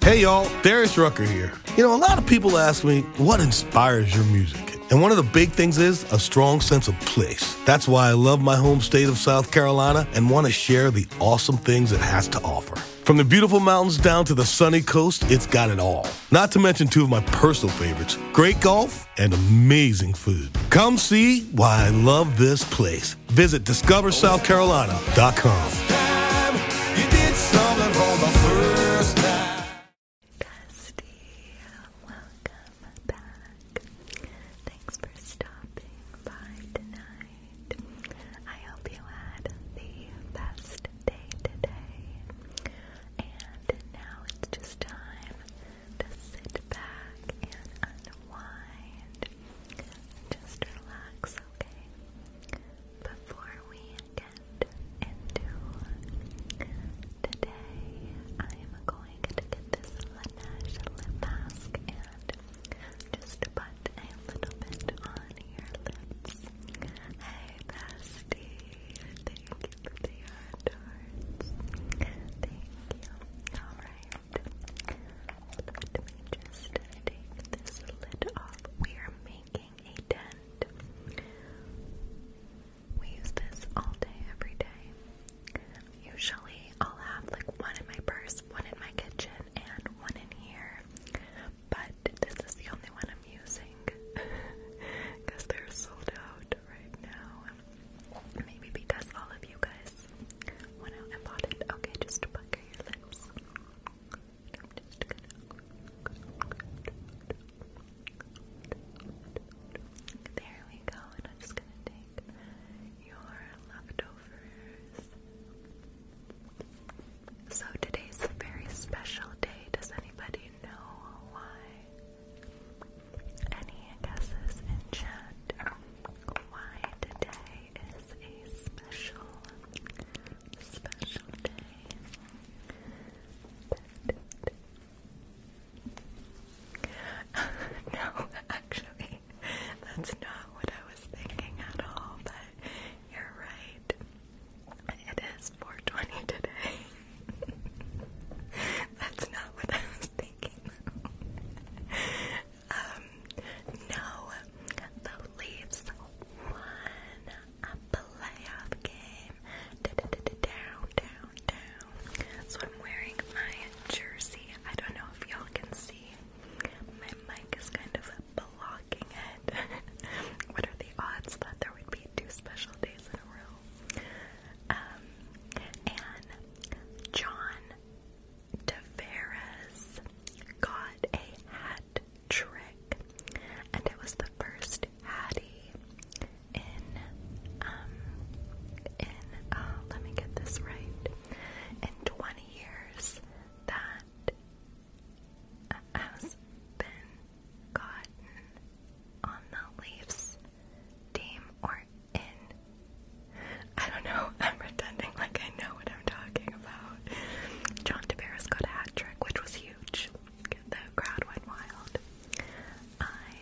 Hey y'all, Darius Rucker here. You know, a lot of people ask me, what inspires your music? And one of the big things is a strong sense of place. That's why I love my home state of South Carolina and want to share the awesome things it has to offer. From the beautiful mountains down to the sunny coast, it's got it all. Not to mention two of my personal favorites great golf and amazing food. Come see why I love this place. Visit Discover South Carolina Seattle.com. Dusty, welcome back. Thanks for stopping by tonight. I hope you had the best day today. And now it's just time to sit back and unwind. Just relax okay? Before we get into today, I'm going to get this Laneige lip mask and just put a little bit on your lips. Hey, bestie, thank you for the hard Thank you. Alright. Let me just take this lid off. We are making making a dent. We use this all day, every day. Usually, I'll have like one in my purse, one in my kitchen, and one in here. But this is the only one I'm using because they're sold out right now. Maybe because all of you guys went out and bought it. Okay, just pucker your lips. There we go, and I'm just gonna take your leftovers. So today's a very special day. Does anybody know why? Any guesses in chat? Why today is a special special day. no, actually, that's not what I was thinking at all, but you're right. It is 420 today. That's not what I was thinking. um, no, the Leafs won a playoff game. D -d -d -d down, down, down. So I'm wearing my jersey. I don't know if y'all can see. My mic is kind of blocking it. what are the odds that there would be two special days in a row? Um, and John Tavares got a hat trick, and it was the first Hattie in um in uh, let me get this right in 20 years that has been gotten on the Leafs team or in. I don't know. I'm pretending like I know what I'm talking about. John Tavares got a hat trick, which was huge. The crowd went wild. I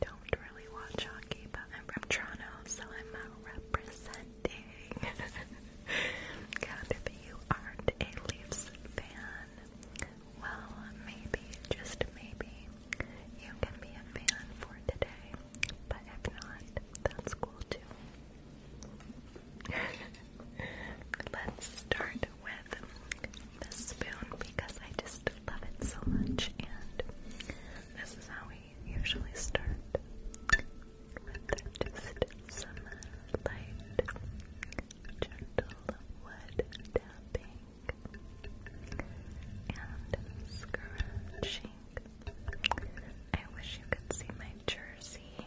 don't really watch hockey, but I'm from Toronto, so I'm uh, representing. if you aren't a Leafs fan, well, maybe, just maybe, you can be a fan for today. But if not, that's cool too. Let's start with the spoon because I just love it so much, and this is how we usually start with some light, gentle wood tapping and scratching. I wish you could see my jersey.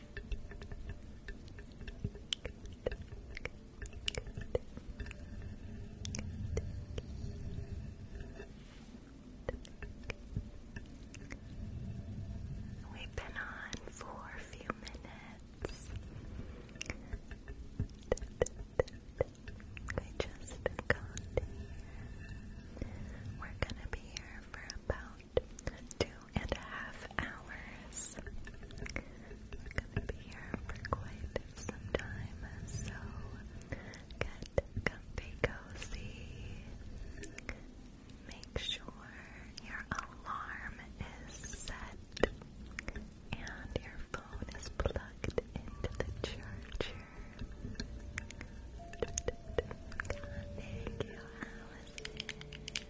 We've been on for a few minutes. We just got We're gonna be here for about two and a half hours. we gonna be here for quite some time, so get comfy cozy. Make sure your alarm is set and your phone is plugged into the charger. Thank you, Allison.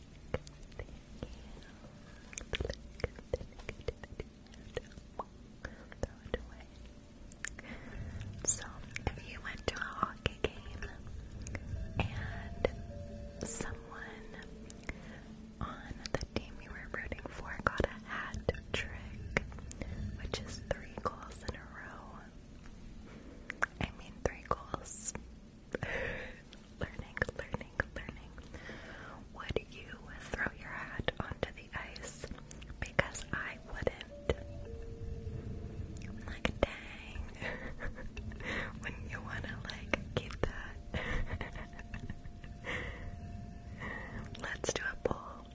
Throw it away. So, if you went to a hockey game and someone on the team you were rooting for got a hat trick, which is three goals in a row, I mean, three goals learning, learning, learning. Would you throw your hat onto the ice? Because I wouldn't. like, dang. Wouldn't you want to, like, keep that? Let's do a poll.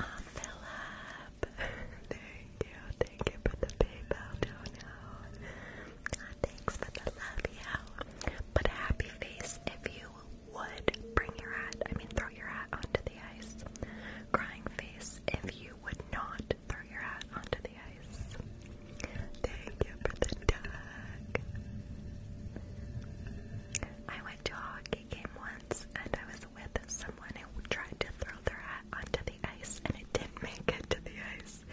Oh, Philip. Thank you, thank you for the PayPal dono. God, thanks for the love, yeah. a happy face if you would bring your hat, I mean throw your hat onto the ice. Crying face if you would not throw your hat onto the ice. Thank you for the duck. I went to a hockey game once and I was with someone who tried to throw their hat onto the ice and it didn't make it to the ice this.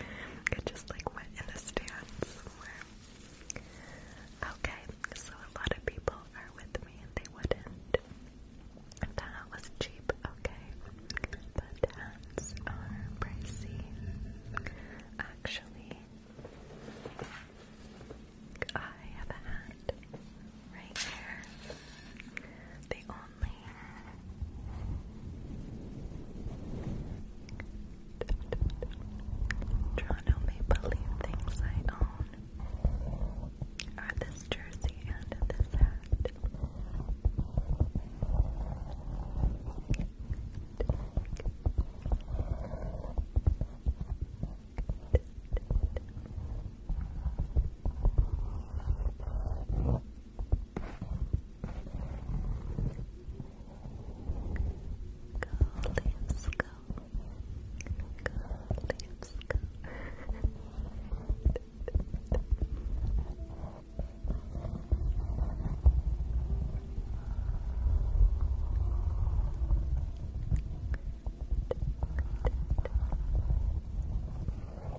It just like went in a stand somewhere. Okay, so a lot of people are with me and they wouldn't. That was cheap, okay. But hats are pricey. Actually, I have a hat right here. The lonely. Toronto Maple Leaf things I own are this jersey and this hat. Go Leafs, go. Go Leafs, go. Go I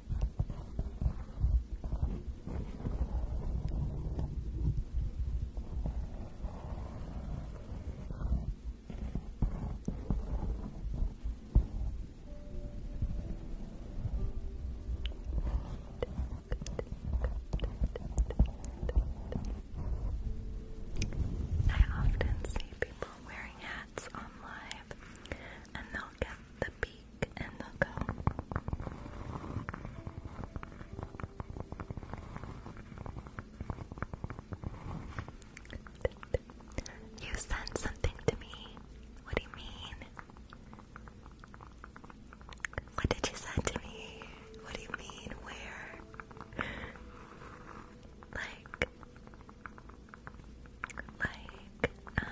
often see people wearing hats on and they'll get the peak, and they'll go. You sent something to me. What do you mean? What did you send to me? What do you mean? Where? Like, like, um,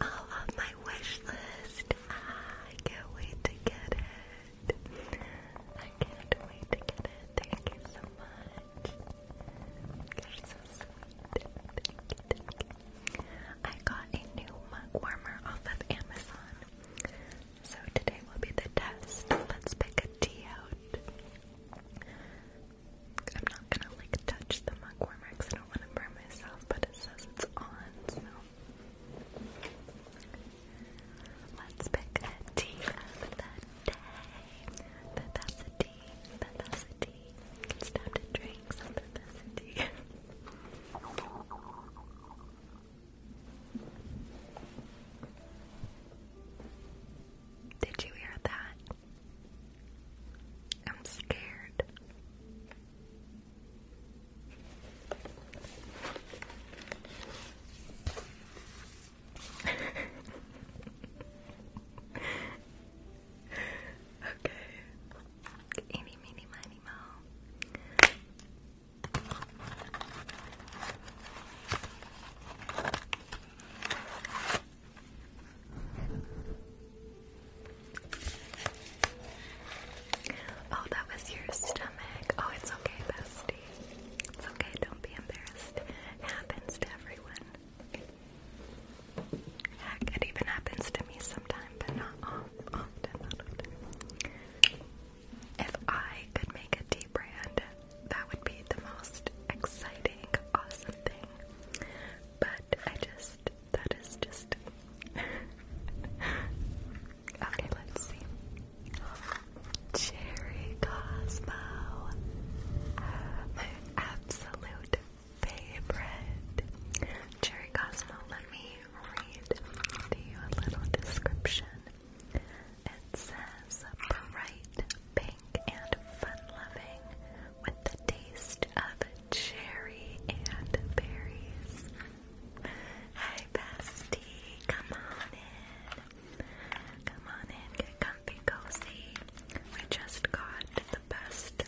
off my wish list. Ah, I can't wait to get it. I can't wait to get it. Thank you so much. I got a new mug warmer off of Amazon. So today will be the test. Let's pick a T out. I'm not gonna like touch the mug warmer because I don't want to burn myself, but it says it's on, so let's pick a tea of the day. It's time to drink some vivacity. Did you hear that? I'm scared. okay. Eeny, meeny, miny, mo. Oh, that was your stomach. Oh, it's okay, bestie. It's okay, don't be embarrassed. It happens to everyone. Heck, it even happens to me sometime, but not often. If I could make a tea brand, that would be the most exciting, awesome thing. But I just, that is just. okay, let's see. Cherry Cosmo, my absolute favorite. Cherry Cosmo, let me read to you a little description it says bright pink and fun-loving with the taste of cherry and berries. Hi bestie, come on in. Come on in, get comfy cozy. We just got the best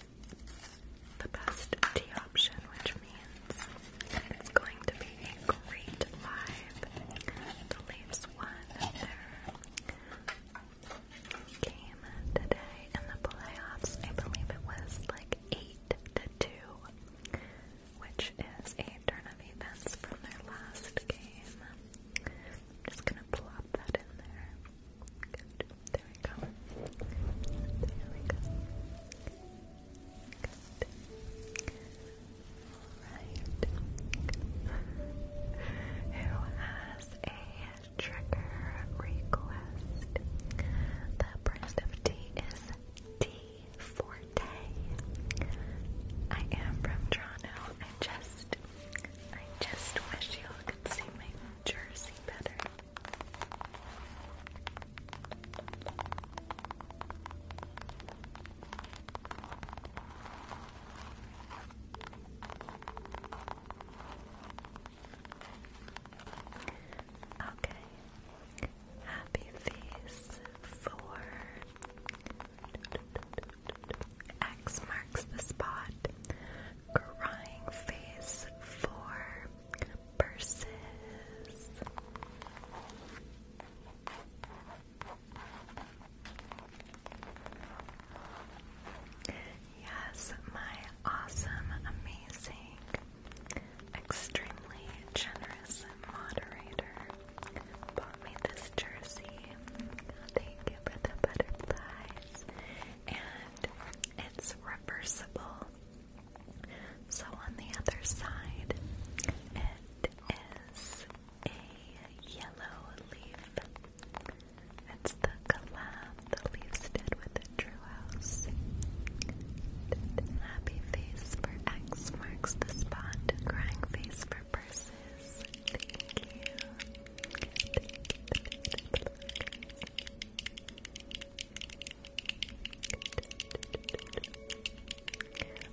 the best tea option, which means it's going to be a great live. The leaves one of their game today in the playoffs. I believe it was like eight to two, which is a turn of events from their last game. I'm just gonna plop that in there. Good. There we go. There we go. Good right. Who has a trigger request? The brand of tea is Tea Forte. I am from Toronto. I just, I just wish you all could see my jersey better. Okay. Happy Feast for X marks the spot. Crying face for purses. Yes, my awesome, amazing, extremely generous moderator bought me this jersey. Thank you for the butterflies. And it's reversible. So on the other side, it is a yellow leaf. That's the collab the leaves did with True House. Happy face for X marks the spot. Crying face for purses. Thank you.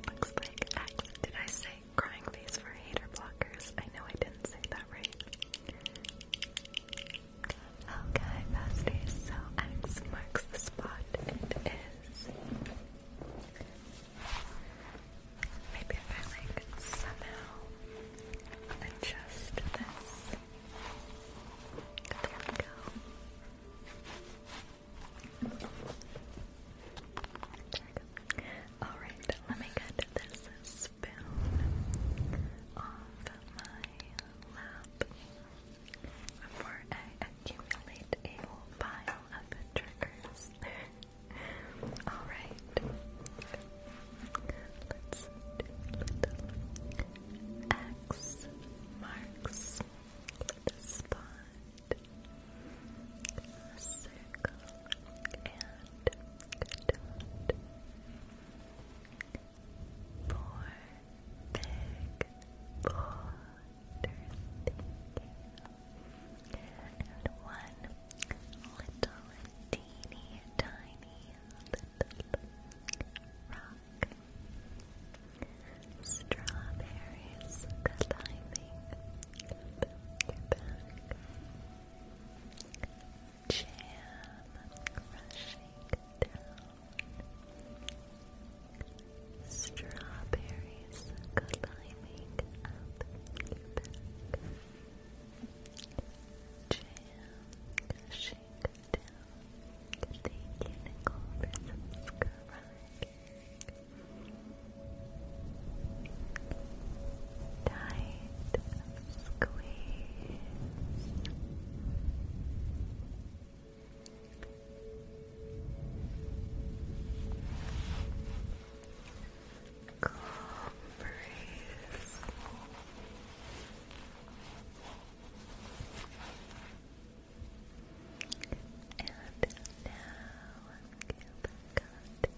Looks like X. Did I say crying, face for hater blockers. I know I didn't say that right. Okay, besties, so X marks the spot. It is. Maybe if I like somehow adjust this. There we go. Alright, let me get this spoon off my lap before I accumulate a pile of triggers. Alright. Let's do little X marks the spot circle, and dot. Four big boulders, thank And one little teeny tiny little rock. Strawberries climbing Jam crushing down. Strawberries climbing up Jam crushing down. Thank you, Nicole, for subscribing. Tight squeeze. Cool breeze. And now, Gilbert got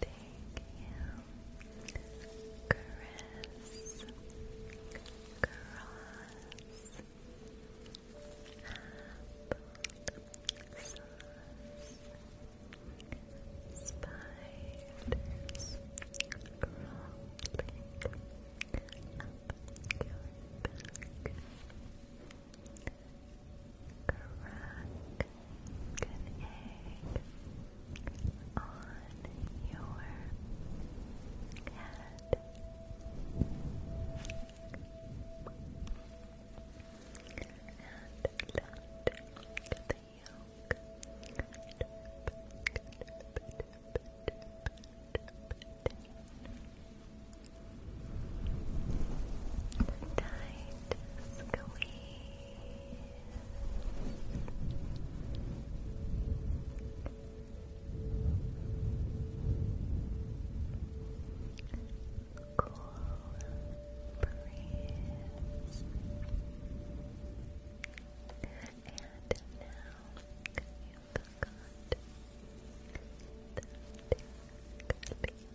Thank you, Chris. Cross. Apple sauce. Spiders crawling up your back. Crack an egg on your head. And tight squeeze Cool breeze. And now you've got the tickly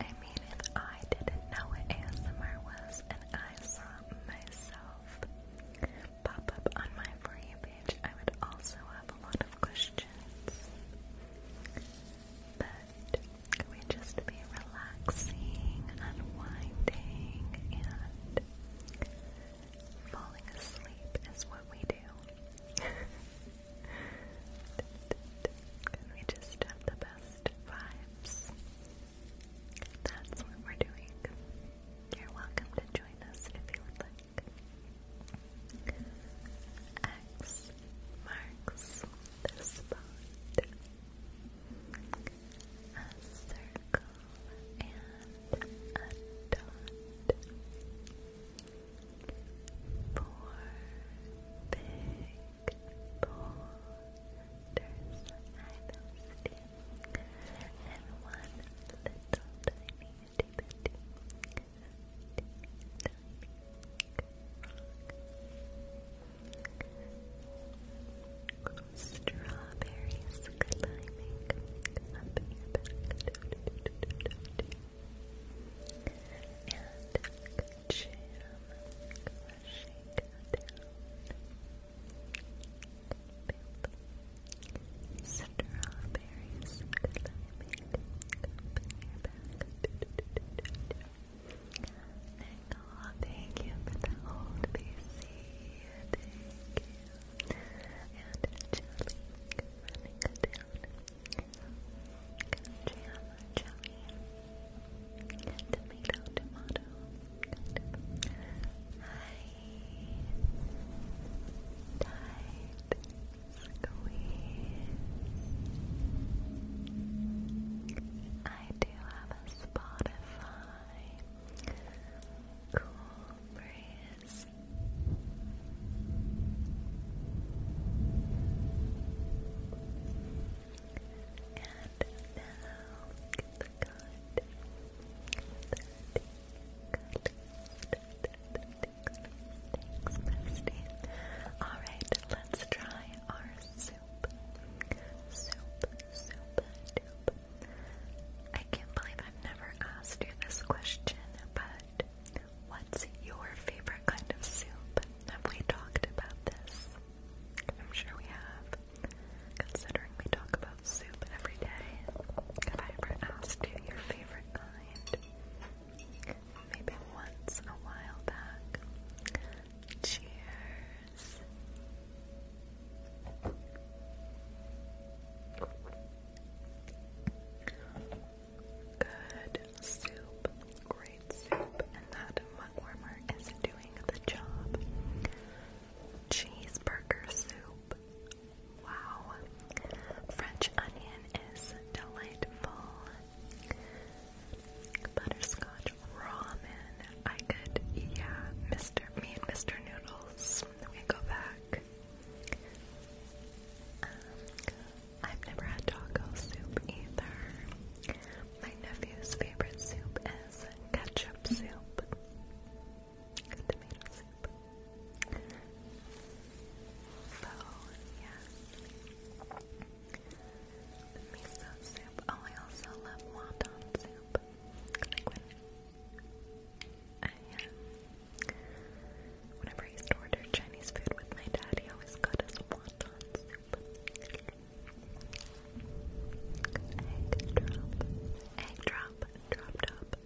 I mean, if I didn't know what ASMR was and I saw myself pop up on my For You page, I would also have a lot of questions. But could we just be relaxing, unwinding, and Falling asleep is what we do. we just have the best vibes. That's what we're doing. You're welcome to join us if you would like. X marks the spot a circle, and a dot. Four big boulders, and one little tiny itty Strawberries climbing up your back. And jam crashing down. Strawberries climbing up your back. Nicole, thank you for the old BC. Thank you and Jelly running down Kajiama Jelly Tomato Tomato Hi Tight Squeeze I do have a Spotify cool breeze. And now get the good, the good, Thanks, bestie. Alright, let's try our Soup, soup, soup, I can't believe I've never asked you this question, but what's your favorite kind of soup? Have we talked about this? I'm sure we have, considering we talk about soup every day. Have I ever asked you your favorite kind? Maybe once a while back. Cheers. Good soup, great soup, and that mug warmer is doing the job. Cheeseburger soup. Wow. French onion is delightful. Butterscotch ramen. I could, yeah, Mr. Me and Mr. Noodles we go back. Um, I've never had taco soup either. My nephew's favorite soup is ketchup soup. Tomato soup. So, yes. Miso soup. Oh, I also love wonton soup. I am. Whenever I used to order Chinese food with my dad, he always got us wonton soup. Egg drop. Egg drop. Drop top.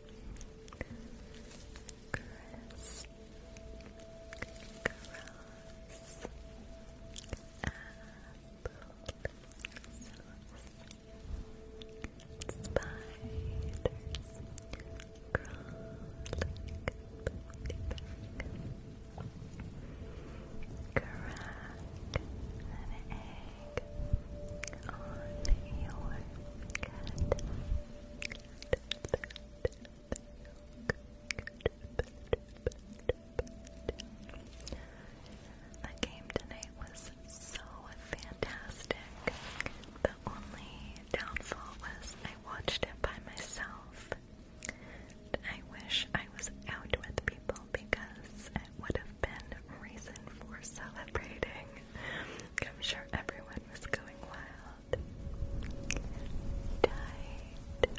Chris. Gross. Apple sauce. Spiders crawling back. Crack an egg on your cat. That game tonight was so fantastic. The only downfall was I watched it by myself. I wish I was out with people because it would have been reason for celebrating. I'm sure everyone was going wild. Tight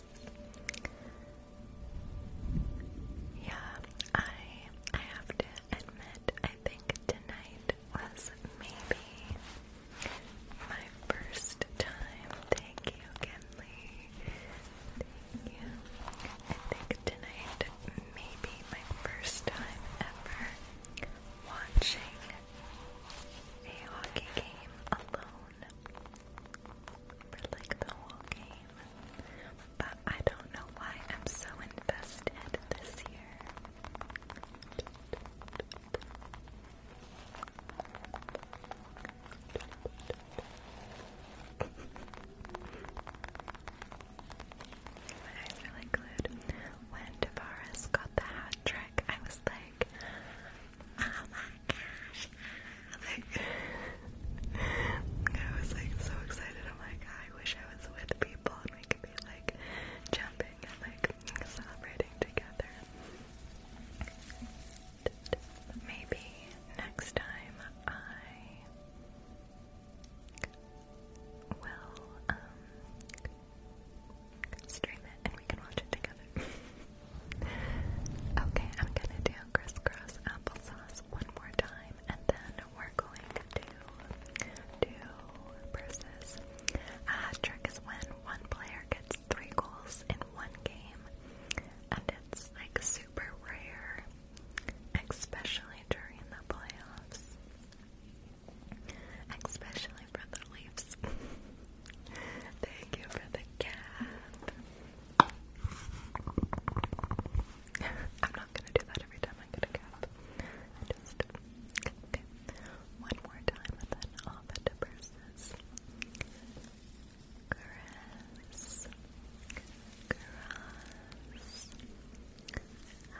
Yeah, I I have to admit, I think tonight was maybe my first time. Thank you, Kenley. Thank you. I think tonight maybe my first time ever watching a hockey game alone for like the whole game. But I don't know why I'm so invested this year. My eyes really glued. When Tavares got the hat trick, I was like, oh my gosh. I was like so excited. I'm like, I wish I was with people and we could be like jumping and like celebrating together. Maybe next time I will um, stream it and we can watch it together. Okay, I'm gonna do crisscross applesauce one more time, and then we're going to do versus. Uh, trick is when one player gets three goals in one game, and it's like super rare, especially during the playoffs. Especially for the Leafs. Thank you for the cat. I'm not gonna do that every time I get a cap. Just One more time and then all the differences. Caress. Caress. Apple.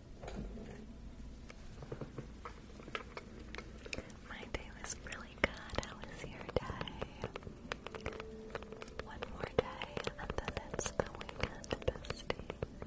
My day was really good. How was your day? One more day, and then it's the weekend besties. Good.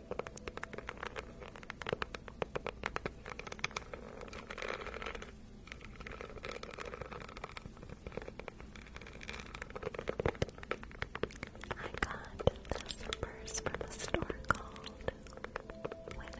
I got the zippers from a store called Winners.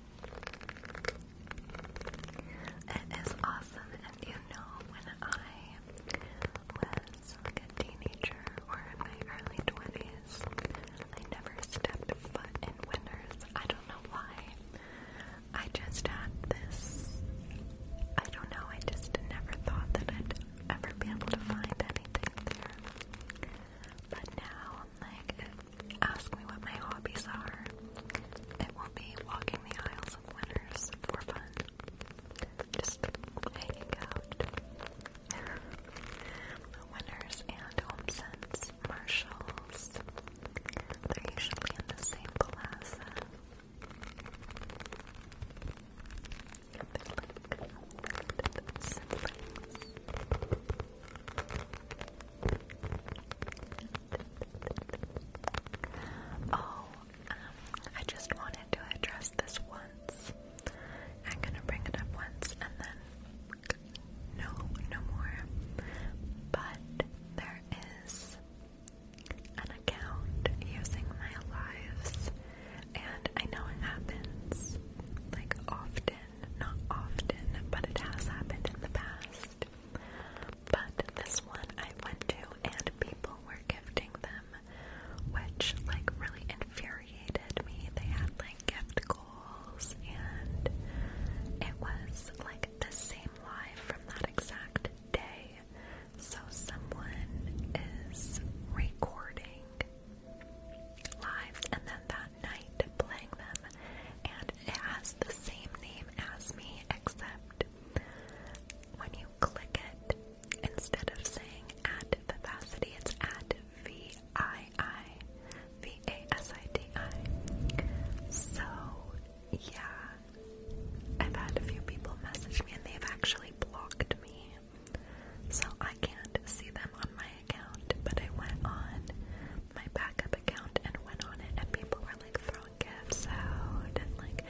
It is awesome, and you know, when I was a teenager or in my early 20s, I never stepped foot in Winners. I don't know why. I just had this. I don't know, I just never thought that I'd ever be able to find anything there. But now, like, ask me what my hobbies are. It will be walking the aisles of winners for fun. Just hanging out. winners and HomeSense, Marshalls. They're usually in the same plaza. They look siblings. Oh, um, I just wanted to address this once. I'm gonna bring it up once and then no, no more. But there is an account using my lives, and I know it happens like often, not often, but it has happened in the past. But this one I went to and people were gifting them, which like really infuriated me. They had like gift goals and it was like the same live from that exact day. So someone is recording lives and then that Knight playing them, and it has the same name as me, except when you click it, instead of saying at Vivacity, it's at V I I V A S I D I. So, yeah, I've had a few people message me, and they've actually blocked me. So I can't see them on my account, but I went on my backup account and went on it, and people were like throwing gifts out and like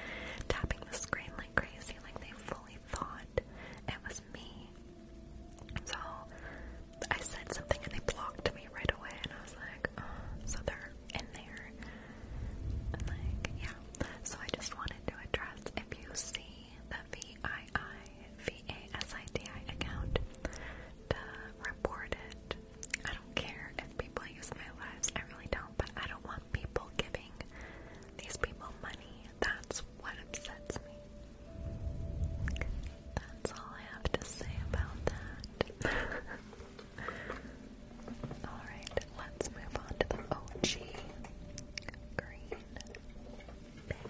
tapping the screen like crazy, like they fully thought it was me. So I said something and they blocked me right away, and I was like, oh, so they're in there. like, yeah. So I just wanted to address if you see the VII, account, to report it I don't care if people use my lives, I really don't, but I don't want people giving these people money. That's what upsets me. That's all I have to say about that. Alright, let's move on to the OG green bag.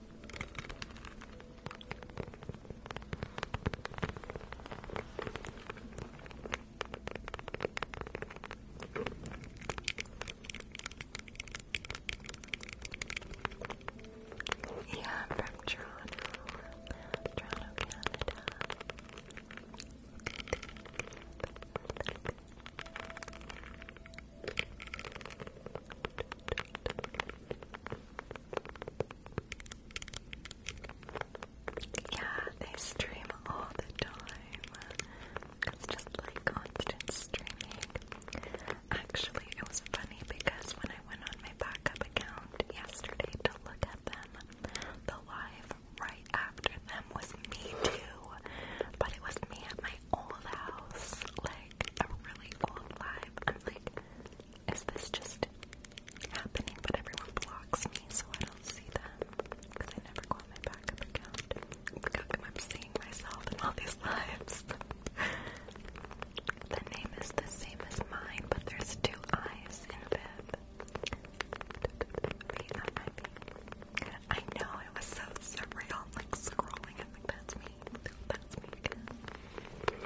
Yeah, from Toronto, Toronto, Canada. Thank you. Yeah, they stream all the time. It's just like constant streaming. Actually, it was funny because when I went on my backup account yesterday to look at them, the live right after them was me too. But it was me at my old house, like a really old live. I'm like, is this just happening but everyone blocks me so I don't see them? Because I never go on my account. How I'm seeing myself in all these lives? the name is the same as mine, but there's two eyes in Viv. I know, it was so surreal, like scrolling. like, that's me. That's me again.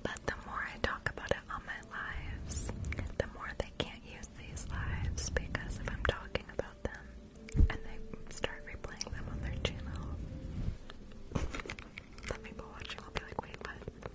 But the more I talk about it on my lives, the more they can't use these lives because if I'm talking about them and they start replaying them on their channel, some people watching will be like, wait, what?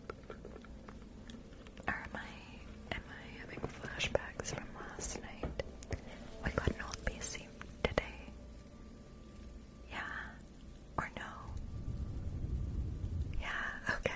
am I am I having flashbacks from last night? We got an old PC today. Yeah. Or no. Yeah, okay.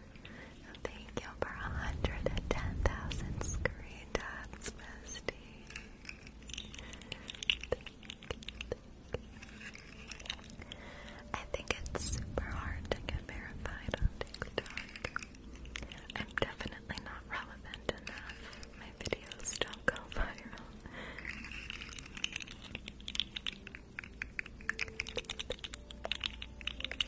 Thank you for 110,000 screen taps, Misty. I think it's super hard to get verified on TikTok. I'm definitely not relevant enough. My videos don't go viral.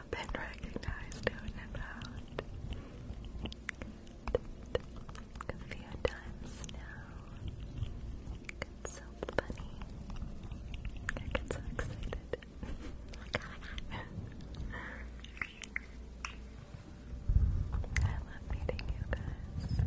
up recognized who it about It's so funny. I get so excited. I love meeting you guys.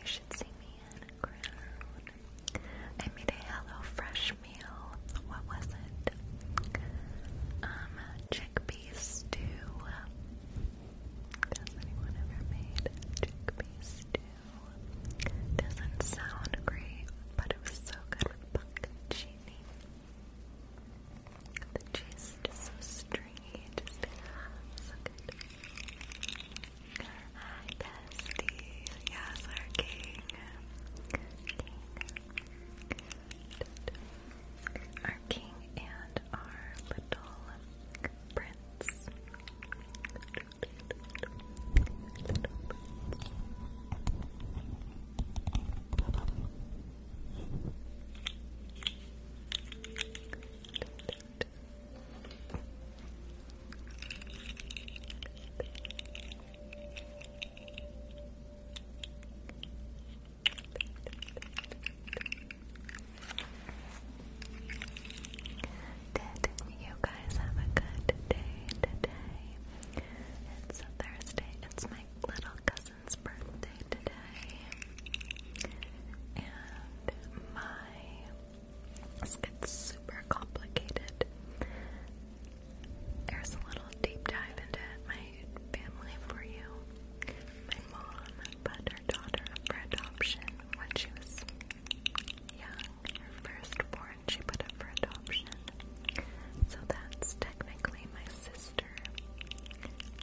You should see me in a crowd. I made a Hello Fresh meal. What was it? Um, chickpea stew. Does anyone ever made chickpea stew? Doesn't sound great, but it was so good with pumpkin The cheese is so streamy you just so good. our king. Our king and our little prince it. Did you guys have a good day today? It's Thursday. It's my little cousin's birthday birthday today, and my this super complicated. There's a little deep dive into my family for you. My mom put her daughter up for adoption when she was young, her firstborn. She put up for adoption, so that's technically my sister,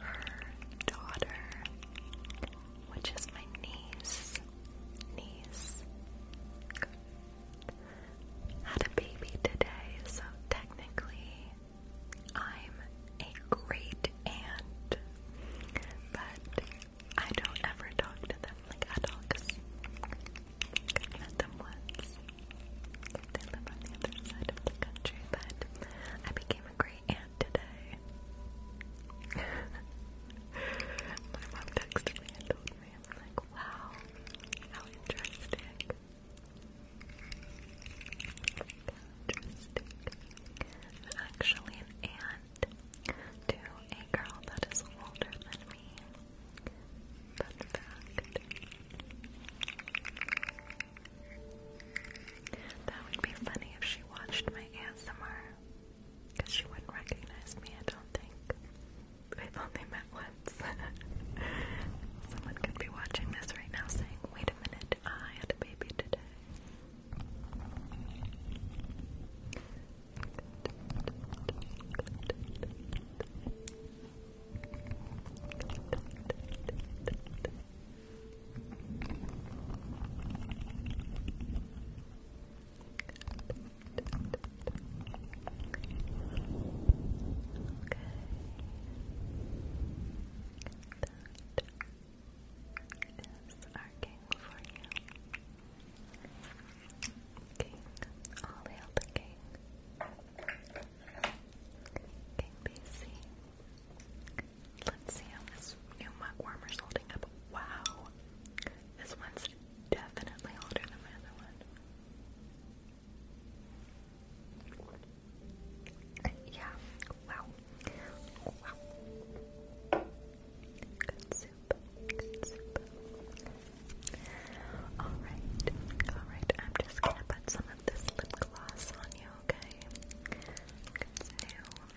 her daughter, which is my niece. Niece had a baby today, so technically I'm a great aunt, but I don't ever talk to them like adults. met them once. They live on the other side of the country, but I became a great and today. My mom texted me and told me, like, wow, how interesting. Interesting. actually an aunt to a girl that is older than me. Fun fact. That would be funny if she watched my ASMR. Because she wouldn't recognize me, I don't think. We've only met once. Someone could be watching this right now saying, wait a minute, I had a baby today is our king for you. King, all hail king. King BC, Let's see how this new mug warmer's holding up. Wow. This one's definitely older than my other one. Yeah. Wow. Wow. Good soup. Good soup. Alright. Alright. I'm just gonna put some of this lip gloss on you, okay? Good soup.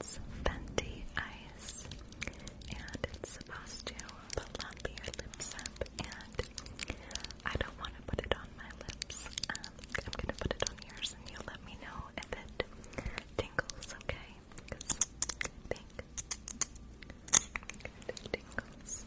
It's Fenty Ice, and it's supposed to plump your lips up, and I don't want to put it on my lips. I'm going to put it on yours, and you let me know if it tingles, okay? think it tingles. It plumps.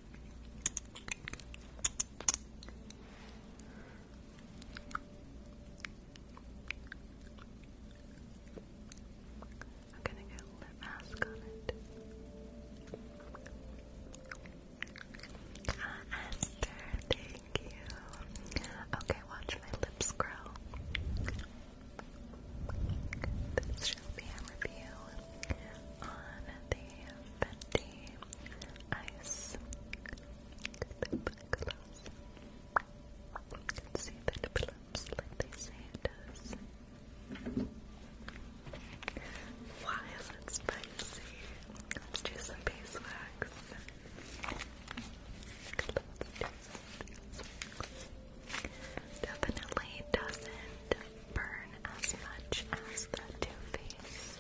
I'm gonna get lip mask on it. Ah, thank you. Okay, watch my lips grow. This should be a review on the Fenty ice. You can see that it like they say Why is it spicy? Let's do some beeswax. Definitely doesn't burn as much as the Too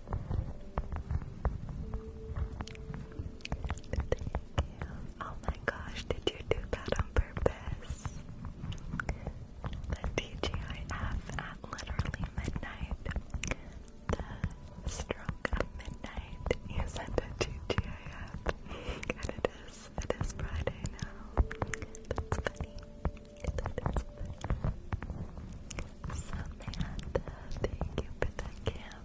Oh my gosh, did you do that on purpose? The TGIF at literally midnight. The stroke of midnight. You sent a TGIF. And it is, it is Friday now. That's funny. Samantha, thank you for the camp.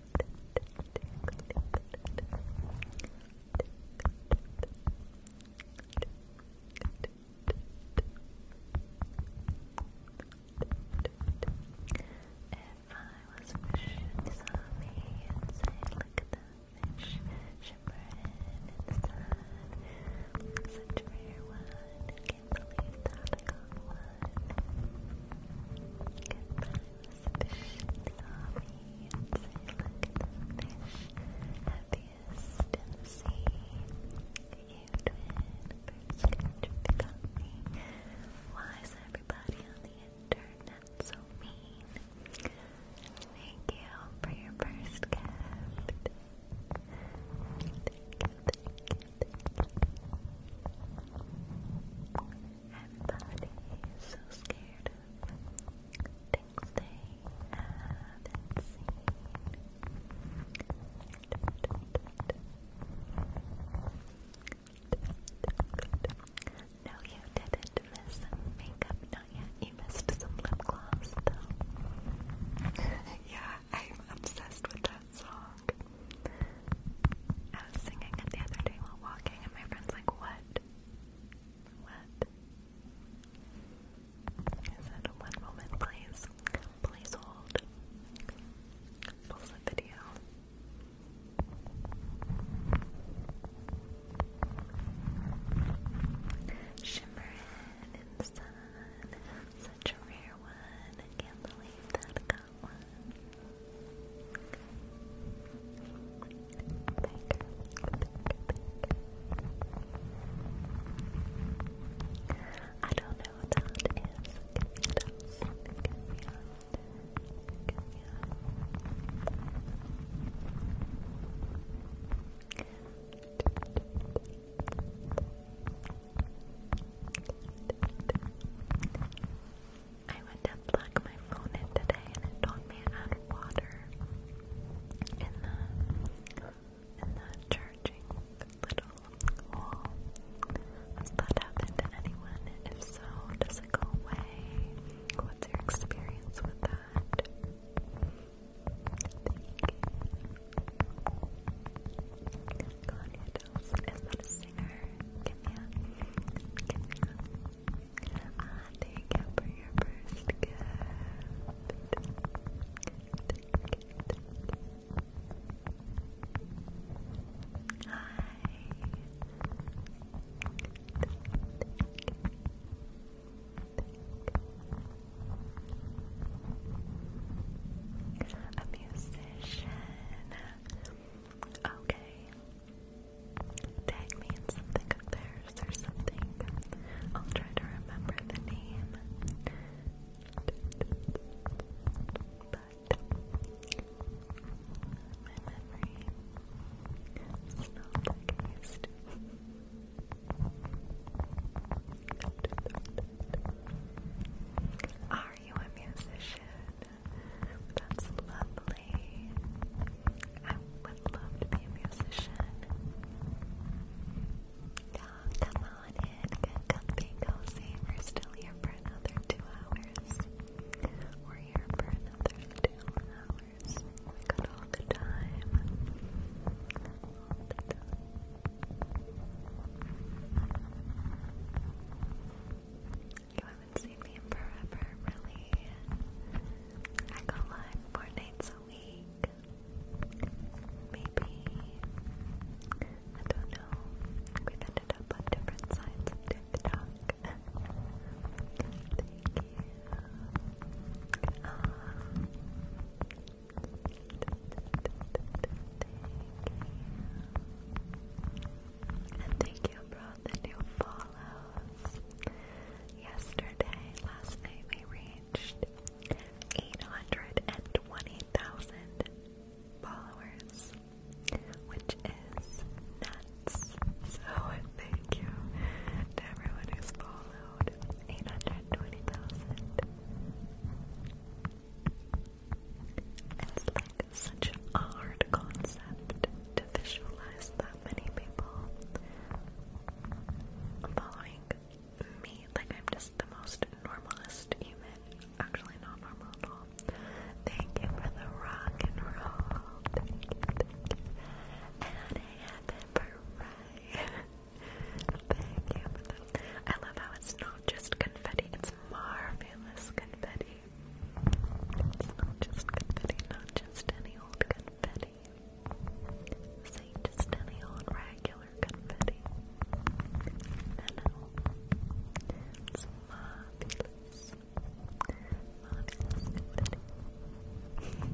If I was fish and you saw me, look at that fish shimmering in Such a rare one, can't believe that I got one fish salami and the fish happiest in sea. You twin birds catch got me. Why is everybody on the internet so mean? Thank you for your first gift. thank you. Everybody so scared of things they haven't seen. No, you didn't miss makeup, not yet. You missed some lip gloss, though. yeah, I'm obsessed with that song song. I was singing the other day while walking, and my friend's like, What? What? I said, One moment, please. Please hold. Pause the video. Shimmering in the sun, such a rare one. I can't believe that that one. I don't know what that is. I went to plug my phone in today and it told me it had water in the in the charging little hole. Has that happened to anyone? If so, does it What's your experience with that? Is that a singer? Kimya. thank you for your first gift. Hi. A musician. Okay. Tag me something of theirs or something. I'll try to remember the name. But my memory is not like it Are you a musician? That's lovely. I would love to be a musician. Oh, come on in, get comfy, cozy. We're still here for another two hours. We're here for another two hours. We got All the time. You haven't seen me in forever, really. I go live four nights a week. Maybe. I don't know. we ended up on different sides of TikTok. Thank you. Um, Thank you. And thank you, bro the new follows. Yesterday, last night, we reached 820,000 followers, which is nuts. So, thank you to everyone who's followed. 820,000 like such a hard concept to visualize that many people following me. Like, I'm just the most normalist human. Actually, not normal at all. Thank you for the rock and roll. And Thank you for I love how it's not just confetti, it's marvelous confetti. It's not just confetti, not just any old confetti. Say just any old regular confetti. It's marvelous. Marvelous confetti.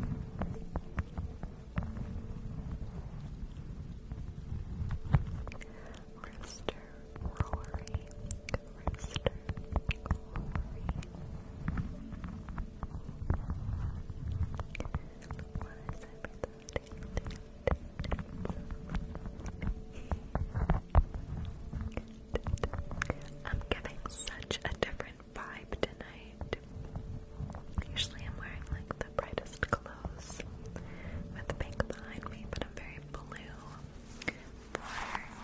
Rooster I'm getting such a different vibe tonight. Usually I'm wearing like the brightest clothes with pink behind me, but I'm very blue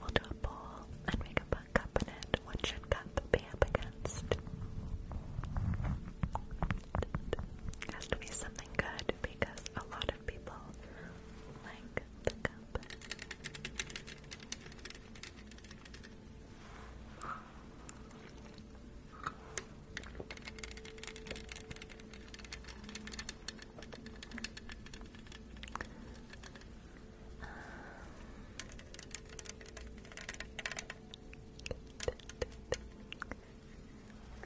We'll do a poll and make a buck What should cup be up against? has to be something good because a lot of people like the cup. Um,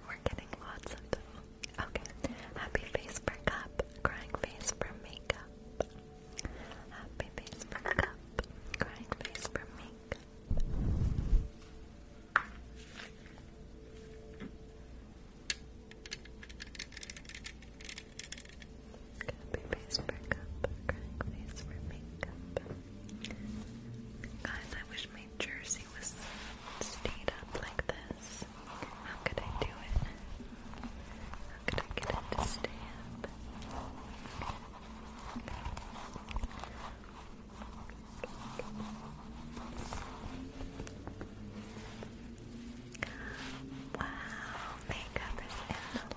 we're getting lots of them. Okay. Happy face for cup, crying face for makeup. Happy face for cup, crying face for makeup. Happy face Guys, I wish my jersey was stayed up like this. How could I do it? How could I get it to stay up? Wow, makeup is in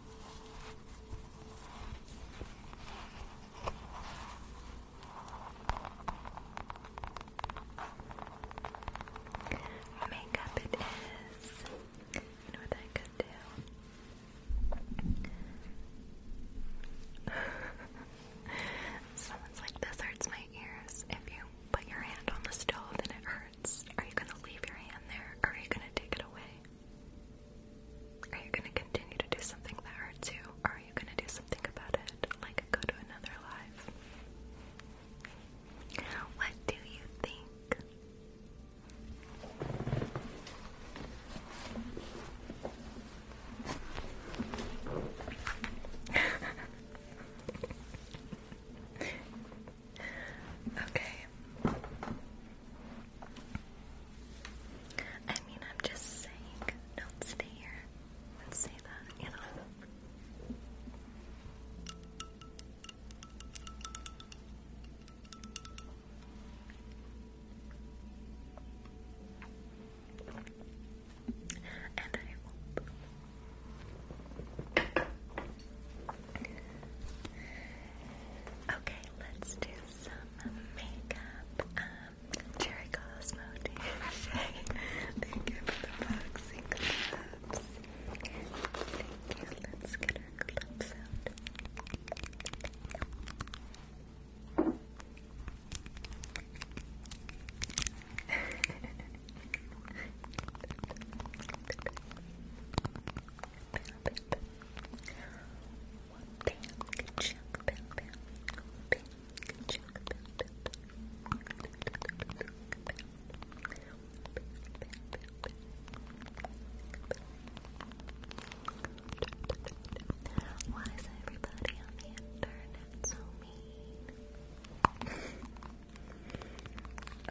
Makeup it is. know what I could do? Someone's like, this hurts my ears. If you put your hand on the stove and it hurts, are you gonna leave your hand there or are you gonna take it away? Are you going to continue to do something that hurts you, or are you going to do something about it, like go to another life? What do you think? Okay. I mean, I'm just saying, don't stay here and say that, And I hope Okay, let's do some makeup. Um, Cherry Cosmo Thank you for the boxing gloves. Thank you. Let's get our gloves out. Why is everybody on the internet so mean? Uh,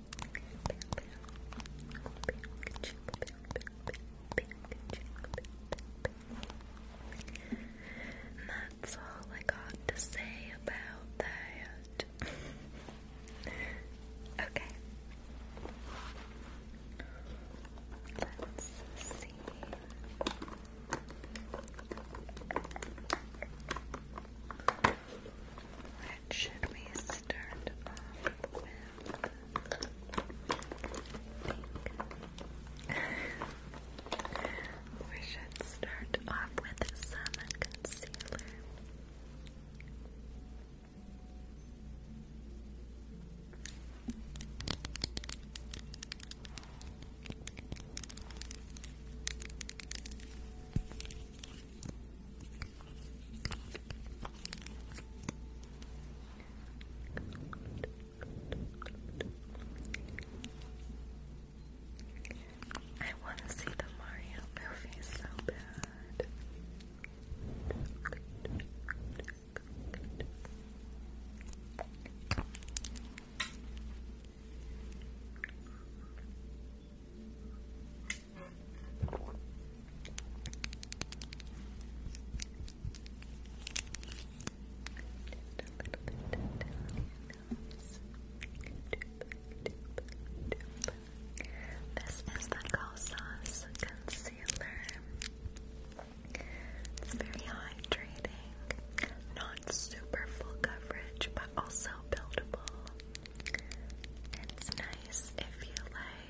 And that's all I got to say about that. okay. Let's see. What should we start off with? we should start off with some concealer. I want to see the Mario movie so bad. This is the Colsauce Concealer. It's very hydrating, not super full coverage, but also buildable. It's nice if you like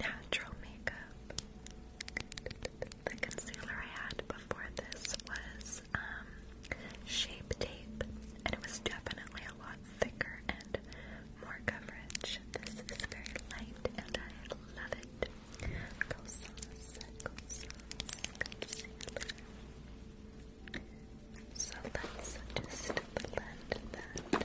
natural makeup. The concealer I had before this was um, Shape Tape, and it was definitely a lot thicker and more coverage. This is very light, and I love it. So let's just blend that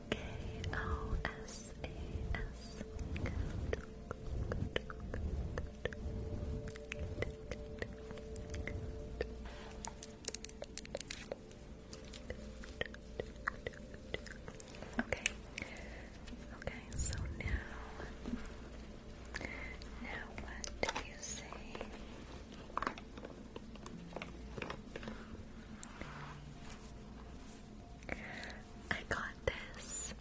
K O S A S. Okay. Okay, so now now what do you say? I got this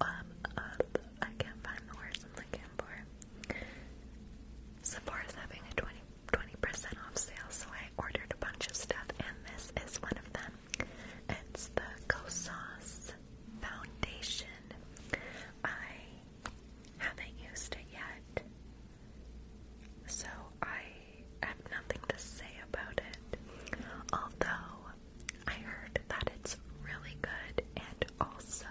um, um, I can't find the words I'm looking for. Sephora's having a 20 percent off sale, so I ordered a bunch of stuff, and this is one of them. It's the Kosas Foundation. I haven't used it yet, so I have nothing to say about it. Although I heard that it's really good and also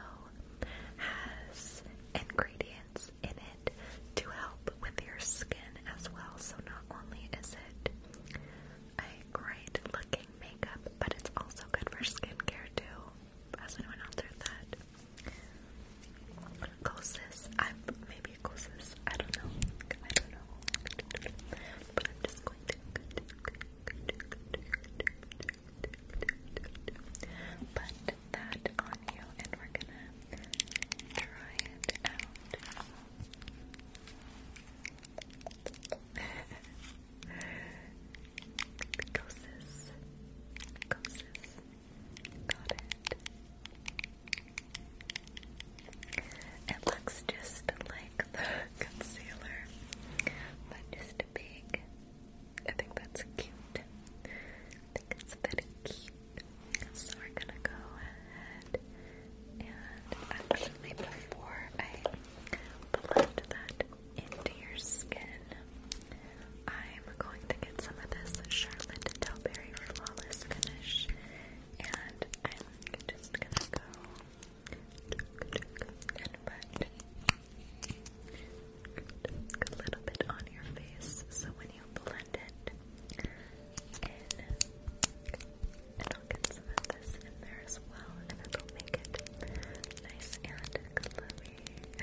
has ingredients in it to help with your skin as well. So, not only is it a great looking makeup, but it's also good for skincare too. Has anyone else that? Ghosts. I'm maybe ghosts. I don't know. I don't know. But I'm just going to. Put that on you, and we're gonna try it out. Ghosts. Ghosts. Got it. It looks just like the concealer, but just big. I think that's cute. I think it's very cute. So we're gonna go ahead and actually before I blend that into your skin, I'm going to get some of this Charlotte Tilbury Flawless Finish, and I'm just gonna go and put a little bit on your face so when you blend it in, it'll get some of this in there as well, and it'll make it nice and glowy.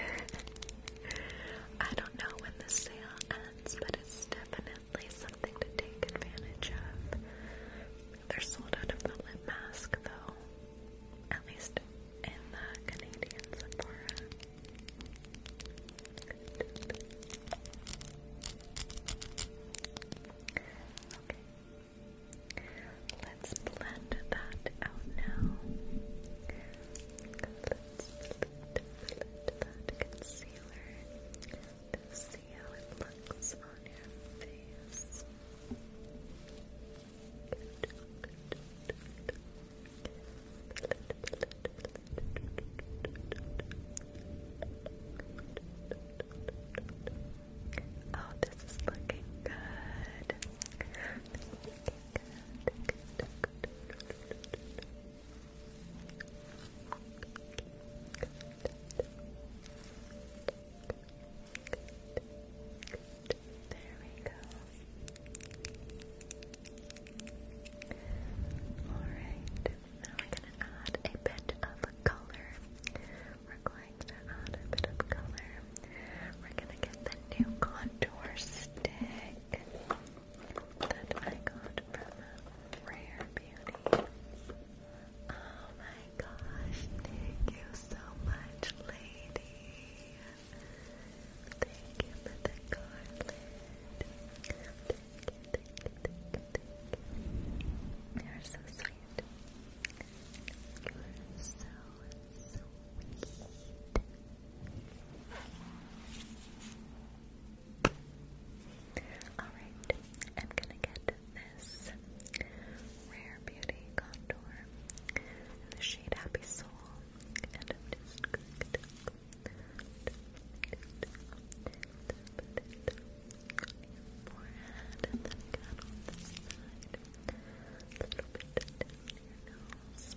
I don't know when the sale ends, but it's definitely something to take advantage of. They're sold out of the lip mask, though, at least in the Canadian Sephora. Okay. Let's blend that out now bit of that concealer to see how it looks on your face. Oh, this is looking good. There we go. Alright, now we're going to add a bit of color. We're going to add a bit of color. We're going to get the new contour stick that I got from Rare Beauty. Oh my gosh, thank you so much, lady. Thank you for the garland. Thank are so sweet. You're so, so Alright, I'm gonna get this Rare Beauty Contour in the shade Happy Soul, and I'm going to put it forehead, and then get side, a little bit down your nose.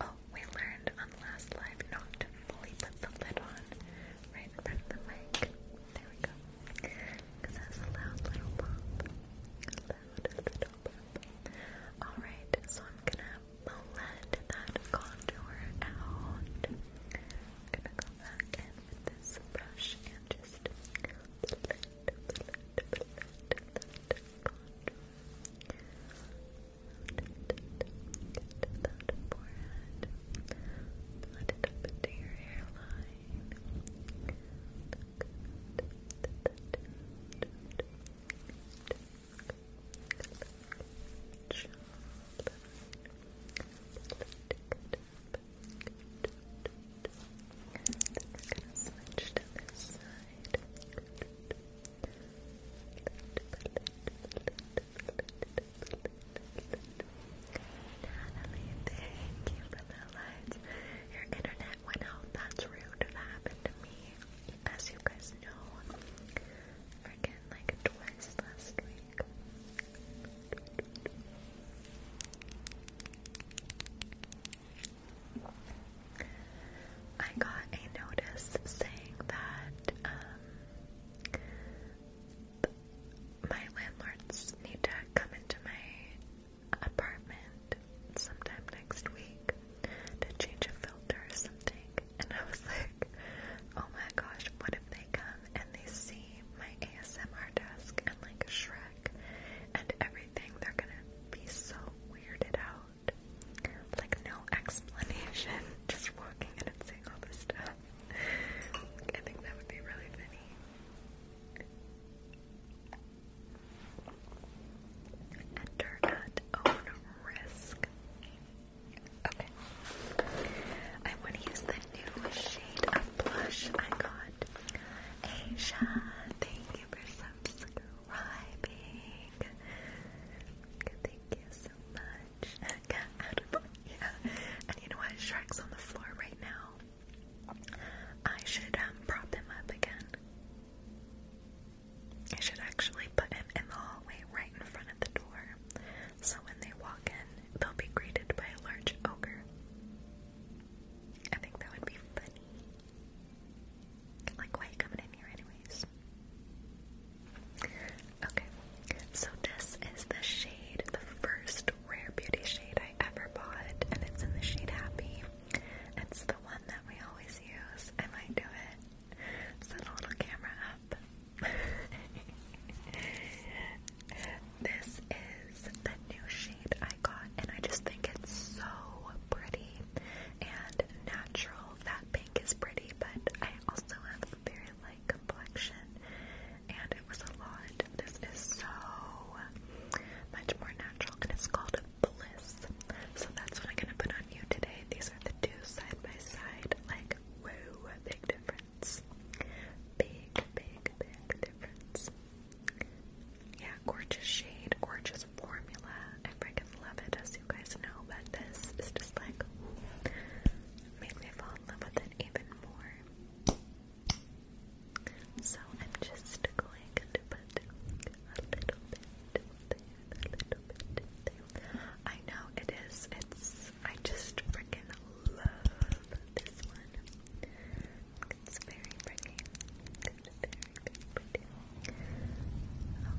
Oh, we learned on last live not to fully put the lid on right in front of the mic. There we go. that's a loud little pop. Alright, so I'm gonna blend that contour out. gonna go back in with this brush and just Get that forehead. Blend it up your hairline. Good. Then gonna switch to this side. Natalie, thank you for the lights. Your internet went out. That's rude. That happened to me. As you guys know, freaking like twice last week. I got a notice saying that um, my landlords need to come into my apartment sometime next week to change a filter or something. And I was like, oh my gosh, what if they come and they see my ASMR desk and like Shrek and everything? They're gonna be so weirded out. Like, no explanation, just walking and saying all this stuff. I think that would be really funny. Enter not own risk. Okay. I want to use the new shade of blush I got. Asia, thank you for subscribing subscribing. Thank you so much. And you know what? Shrek's on the floor right now. I should um, prop him up again. I should actually put him in the hallway right in front of the door. So when they walk in, they'll be greeted by a large ogre. I think that would be funny. Like, why you coming in here, anyways? Okay, so this is the shade, the first Rare Beauty shade I ever bought, and it's in the shade Happy. It's the one that we always use. I might do it. Set a little camera up. this is the new shade I got, and I just think it's so pretty and natural that pink is pretty, but I also have a very light complexion, and it was a lot. This is so much more natural, and it's called Bliss. So that's what I'm gonna put on you today. These are the two side by side, like whoa, big difference. Big, big, big difference. Yeah, gorgeous shade, gorgeous formula. I freaking love it, as you guys know, but this is just like makes me fall in love with it even more. So I'm just going to put a little bit a little bit I know it is, it's, I just freaking love this one. It's very very, very pretty. Okay. And I'm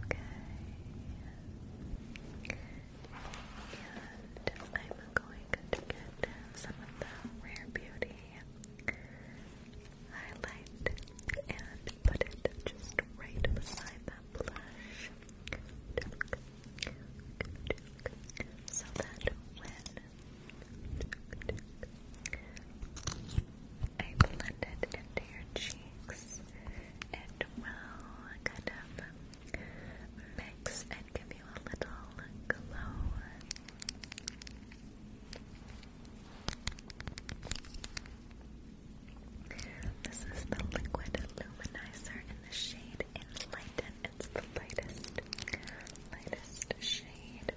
going to get some of the Rare Beauty highlight and put it just right beside the blush. So that when I blend it into your cheeks, it will kind of mix and give you a little glow. This is the liquid luminizer in the shade Enlighten. It's the lightest, lightest shade.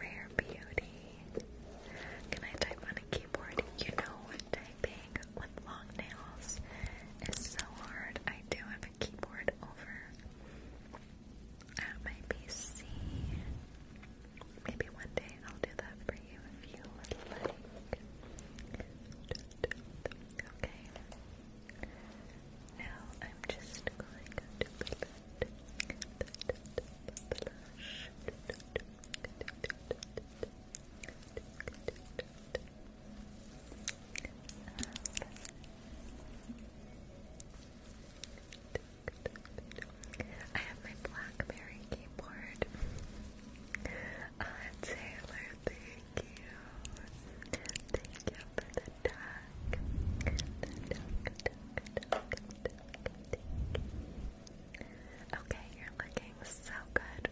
Rare beauty. Can I type on a keyboard? You know what very with long nails is so hard. I do have a keyboard over at my PC. Maybe one day I'll do that for you if you would like. Okay. Now I'm just going to blend the blush. I have my Blackberry keyboard. Uh, Taylor, thank you. Thank you for the duck. Okay, you're looking looking so good.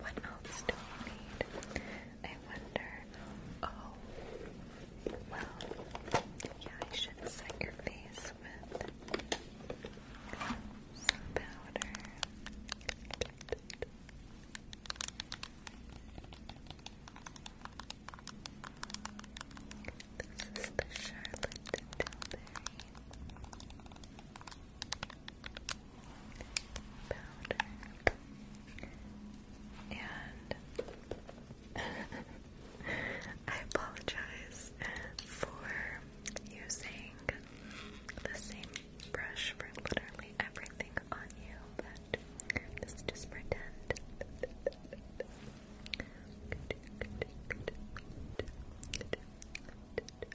What else do we need? I wonder. Oh, well, yeah, I should set your face with some powder. This is the Charlotte Tilbury powder and I apologize for using the same brush for literally everything on you, but let's just pretend. Good, good, good, good, good, good, good, Oh,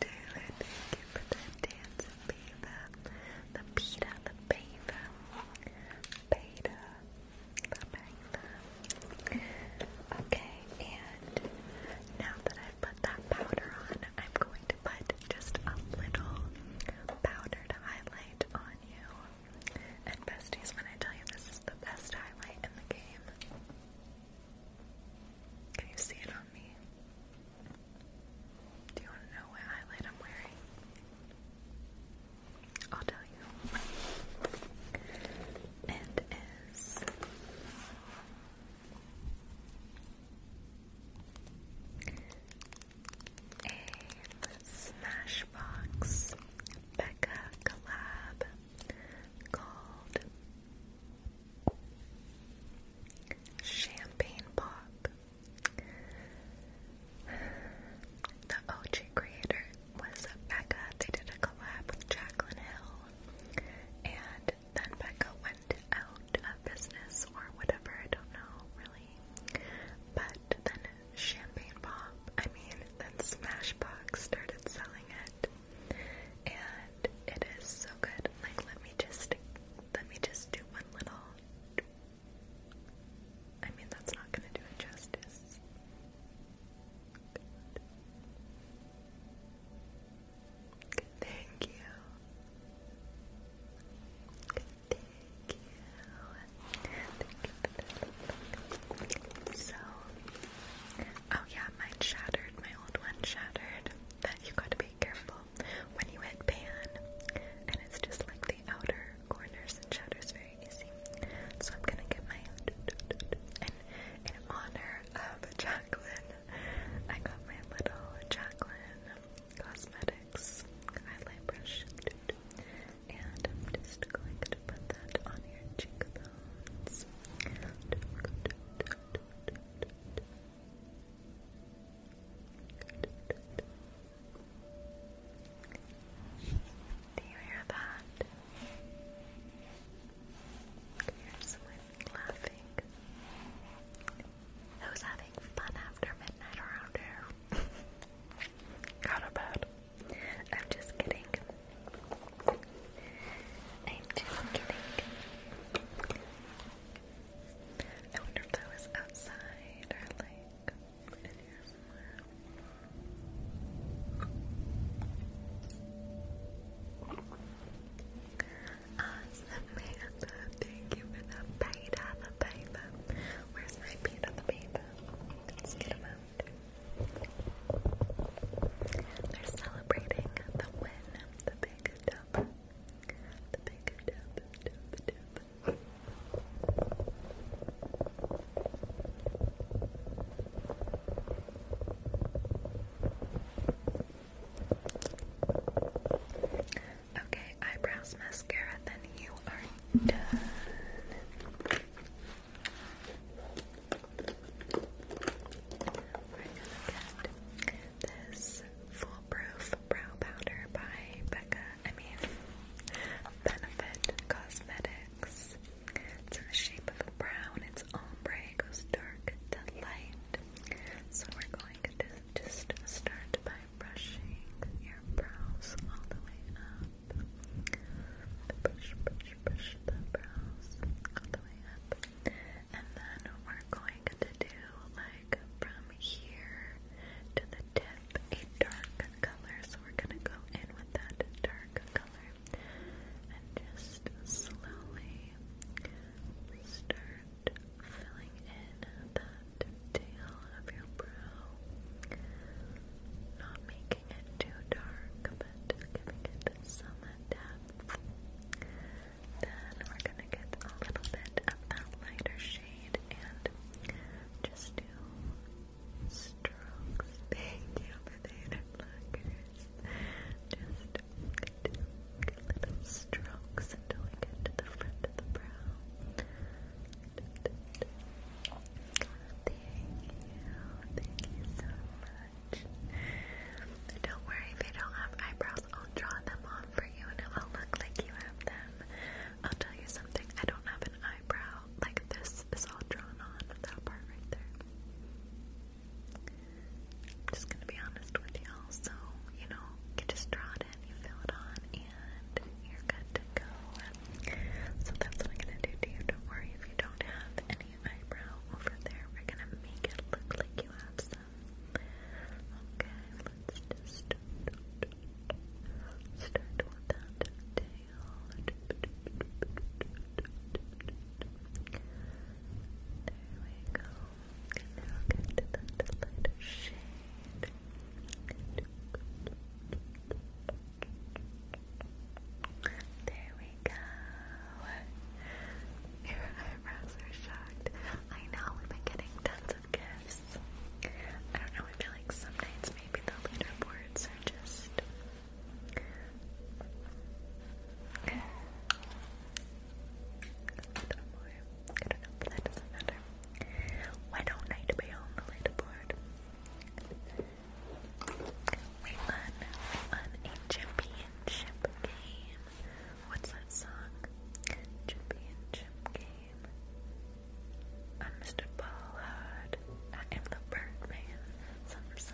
Taylor, thank you for the dance, Beva. The pita, the Beva. Okay, and now that I've put that powder on, I'm going to put just a little powder highlight on you. And besties, when I tell you this is the best highlight in the game, can you see it on me? Do you want to know what highlight I'm wearing? I'll tell you. It is a Smashbox Becca collab called Champagne Pop. The OG creator was Becca. They did a collab with Jacqueline Hill. And then Becca went out of business or whatever, I don't know really. But then Champagne Pop, I mean, then Smashbox started selling it. And it is so good. Like let me just let me just do one little I mean that's not gonna do it justice. Good. Thank you. Thank you so, oh yeah, mine shattered. My old one shattered. That you got to be careful when you hit pan, and it's just like the outer corners and shadows very easy. So I'm gonna get my and in honor of Jacqueline, I got my little Jacqueline Cosmetics highlight brush, and I'm just going to put that on your cheekbones. Good. Do you hear that? Here's someone laughing. Who's having fun after midnight around here? Got a bed. I'm just kidding. I'm just kidding. I wonder if that was outside or like in here somewhere. Samantha, thank you for the beta, the paper. Where's my beta, the paper? They're celebrating the win, the big dub. The big dub, dub, dub. Okay, eyebrows, mascara, then you are done. We're gonna get this foolproof brow powder by Becca. I mean, Benefit Cosmetics. It's in the shape of a brown. It's ombre. goes dark to light. So we're going to just start by brushing your brows all the way up. Brush, brush, brush the brows all the way up. And then we're going to do like from here to the tip a dark color. So we're going to go in with that dark color and just slowly start filling in that tail of your brow. Not making it too dark, but giving it some depth. Then we're gonna get a little bit of that lighter shade and just do strokes. Thank you for the interlockers. Just little strokes until we get to the front of the brow. Thank you. Thank you so much. Don't worry if you don't have eyebrows. I'll draw them on for you and it will look like you have them. I'll tell you something. I don't have an eye eyebrow, like this is all drawn on, that part right there. I'm just gonna be honest with you, so, you know, you just draw it in, you fill it on, and you're good to go. So that's what I'm gonna do to you, don't worry if you don't have any eyebrow over there, we're gonna make it look like you have some. Okay, let's just start with that we go. now get to the lighter There we go. Your eyebrows are shocked. I know we've been getting tons of gifts. I don't know, I feel like some nights maybe the leaderboards are just I do Why don't I be on the leaderboard? We won, we championship game. What's that song? Championship game. I'm Mr. Ballard. I am the Birdman.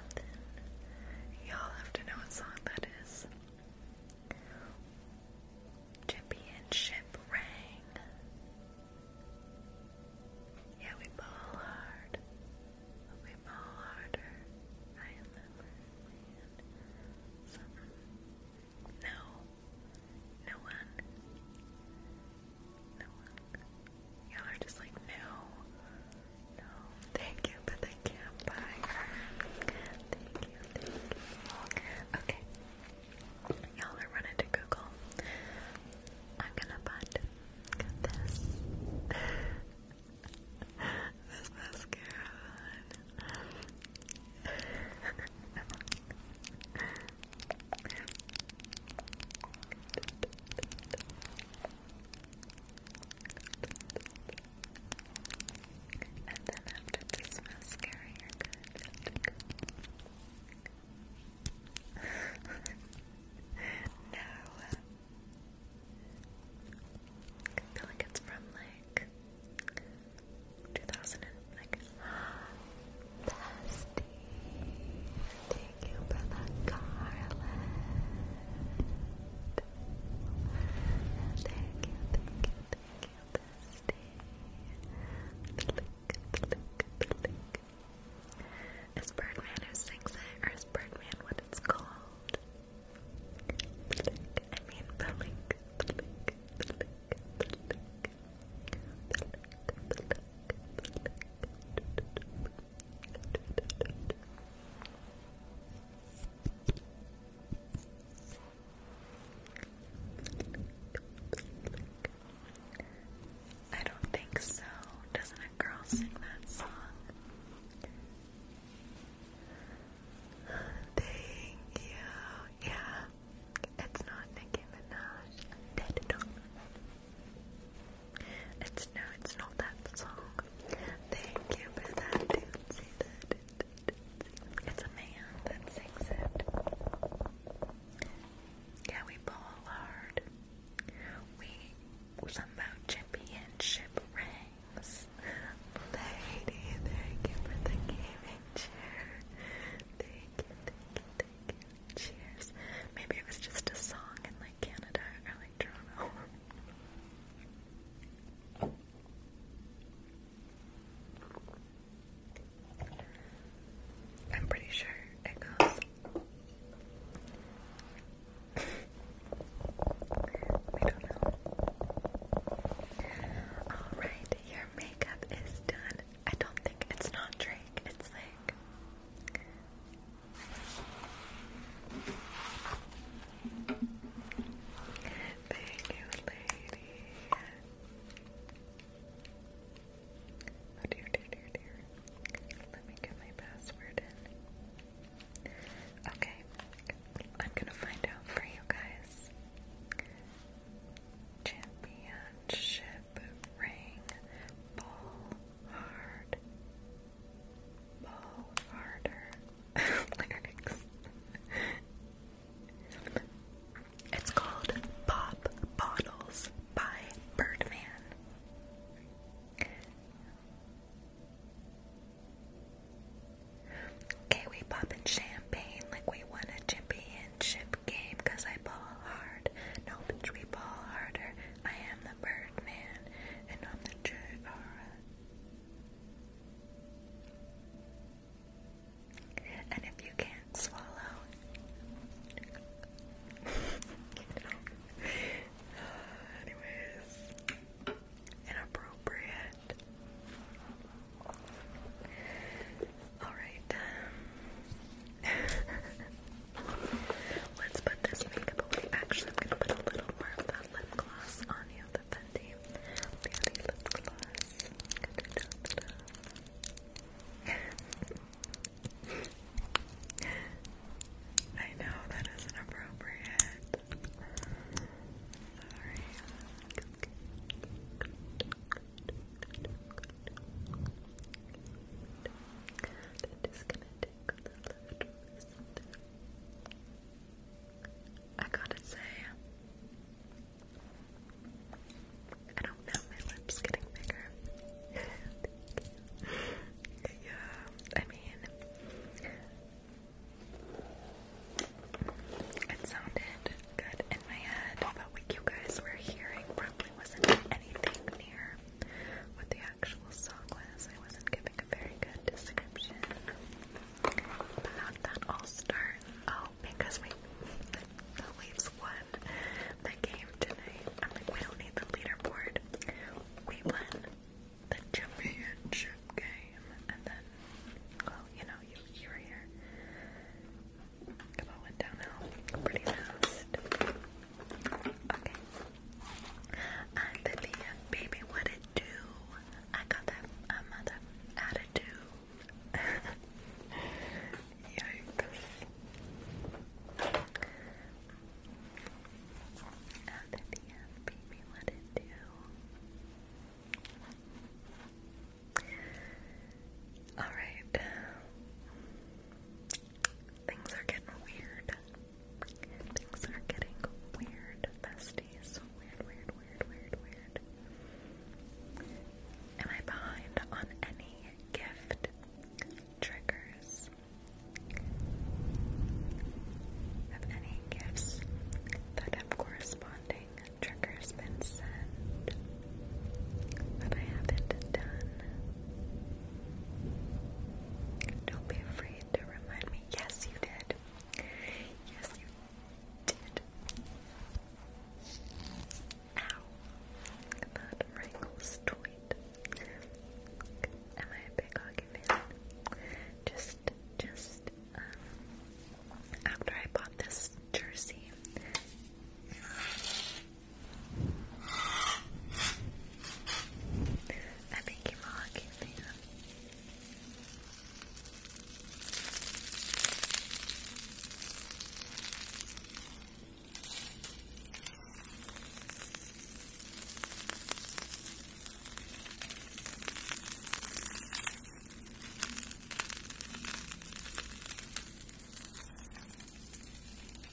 Y'all have to know what song that is. Chippy and Yeah, we ball hard. We ball harder. I am No. No one. Y'all are just like, no. No. Thank you, but Thank you, thank Okay. Y'all are running to Google. I'm gonna butt this. this mascara And then after this mascara, you're good. no. I feel like it's from like 2000 and like past Thank you for the garland. And thank you, thank you, thank you, Bestie. Click, click, click. It's Birdman who sings it, or is Birdman what it's called? Blick. I mean, blink, blink, blink, blink, blink, blink, blink. I don't think so. Doesn't a girl sing that song? Thank you. Yeah. It's not Nicki Minaj. It's no, it's not that song. Thank you for that, dude. See that? It's a man that sings it. Yeah, we ball hard. We somehow championship rings. Lady, thank you for the gaming chair. Thank thank Cheers. Maybe it was just a song and like Canada or like Toronto. I'm pretty sure it goes. we don't know. Alright, your makeup is done. I don't think it's not Drake, it's like Thank you, lady. Oh, dear, dear, dear, dear. Let me get my password in. Okay, I'm gonna find out for you guys. Championship ring ball hard. Ball harder. Lyrics. It's called Pop Bottles by Birdman. Okay, we poppin' champagne like we won a championship game I ball hard. No, bitch, we ball harder. I am the Birdman and on the jaw. And if you can't swallow, anyways, inappropriate. Alright. Um, Let's put this makeup away. Actually, I'm gonna put a little more of that lip gloss on you, the Fenty Beauty lip gloss. I know that inappropriate. Sorry. Disconnect. I gotta say, I don't know, my lips getting bigger. yeah, I mean, it sounded good in my head, but what you guys were hearing probably wasn't anything near what the actual song was. I wasn't giving a very good description. But how'd that all start? Oh, we the, Leafs won the game tonight. I'm like, we don't need the leaderboard. We won the championship game, and then, well, you know, you were here. Come on, went downhill pretty fast. Okay. I'm baby, what it do? I got that uh, mother attitude. Yikes. I'm the Leah, baby, what it do? Alright. Things are getting weird. Things are getting weird, besties. Weird, weird, weird, weird, weird. Am I behind on any gift triggers? Have any gifts that have corresponding triggers been sent that I haven't done? Don't be afraid to remind me. Yes, you did. Yes, you did. Ow. That wrinkles tweet. Am I a big hockey Just, just, um, after I bought this jersey. I think you might give me Erica,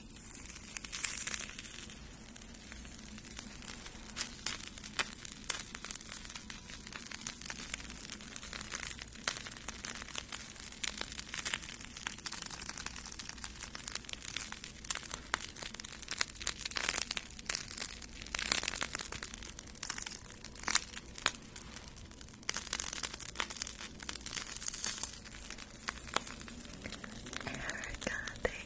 thank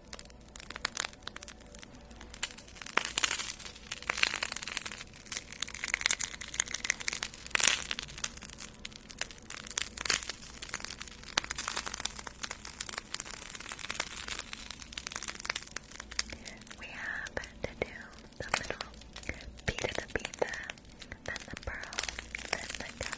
We have to do the little beat the pizza, then the pearl, then the cup.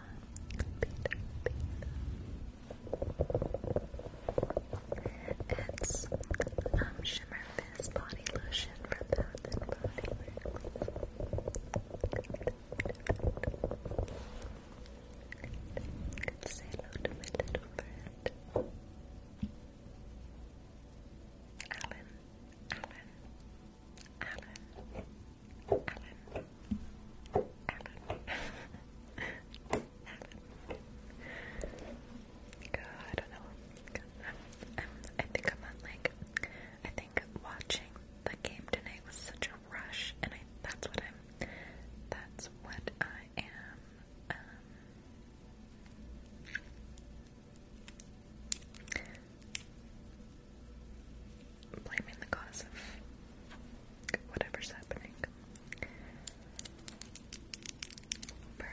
Peter, Peter. It's um, Shimmer Fizz Body Lotion from Bath and Body Works. let say hello to my little friend. Alan, Alan, Alan. Alan. Alan. Good, I think I'm on like, I think watching the game tonight was such a rush, and I that's what I'm, that's what I am. Um, blaming the cause of whatever's happening. Pearl.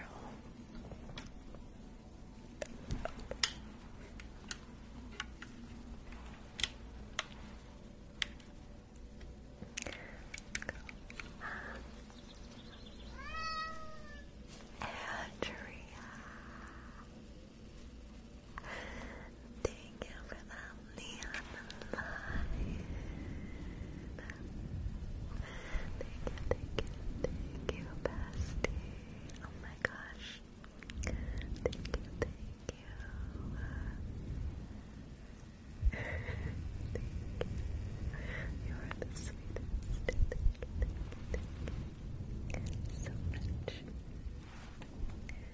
Andrea. Thank you for that neon light. Thank you, thank you, thank you, bestie. Oh my gosh. Thank you, thank you. you. are the sweetest. Thank you, So much.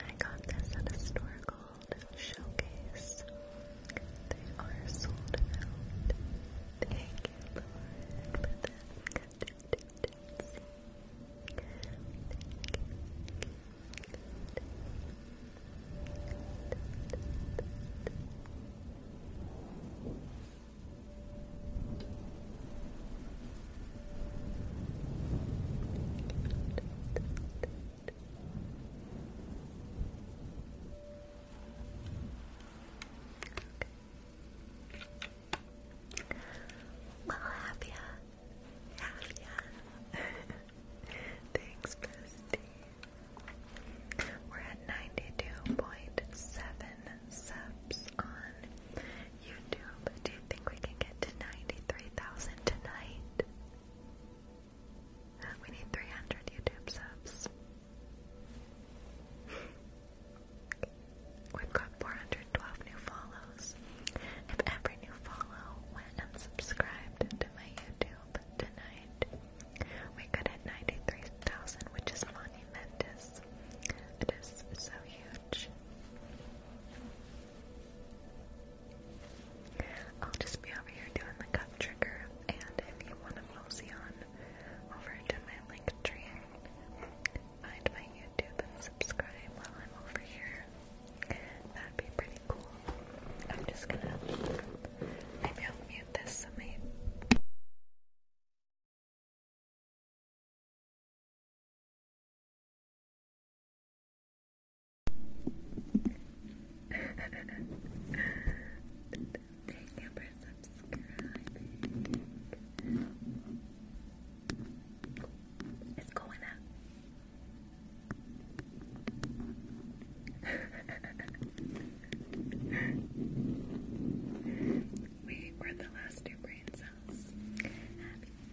I got this at a store called Showcase. They are sold out. Thank you, Lauren, for the well, have yeah. Thanks, bestie. We're at ninety-two point seven subs on YouTube. Do you think we can get to ninety-three thousand tonight? We need three hundred YouTube subs. We've got 412 new follows. If every new follow went and subscribed to my YouTube tonight, we could hit 93,000, which is monumentous. It is so huge. I'll just be over here doing the cup trigger, and if you want to mosey on over to my link tree, find my YouTube and subscribe while I'm over here. That'd be pretty cool. I'm just gonna maybe i mute this so maybe Thank you for subscribing. It's going up we were the last two brain cells. Thank you.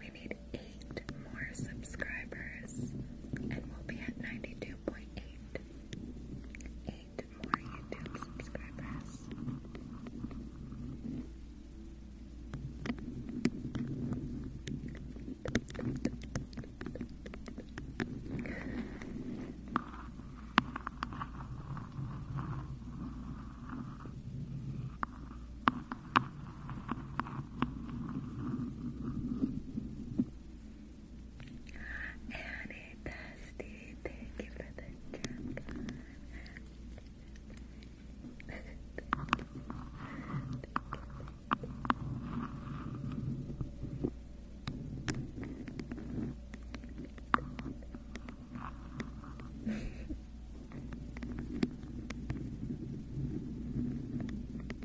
We need eight more subscribers, and we'll be at 92 2.8 eight more YouTube subscribers. Annie Dusty, thank you for the jump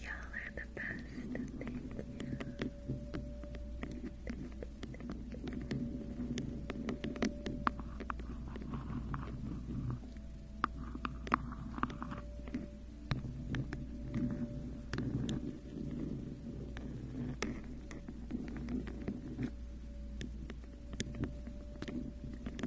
Y'all are the best. Thank you.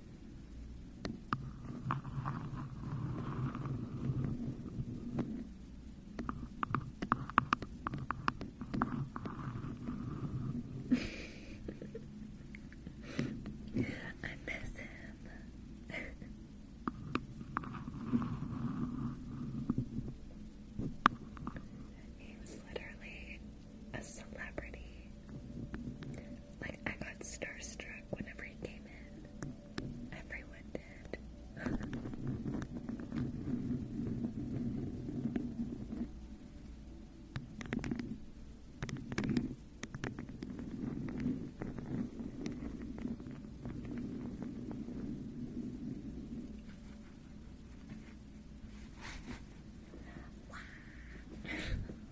I miss him. he was literally a celebrity like, I got starstruck whenever he came in. Everyone did.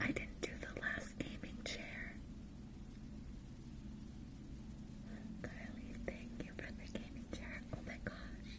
I didn't do the last gaming chair. Carly, thank you for the gaming chair. Oh my gosh.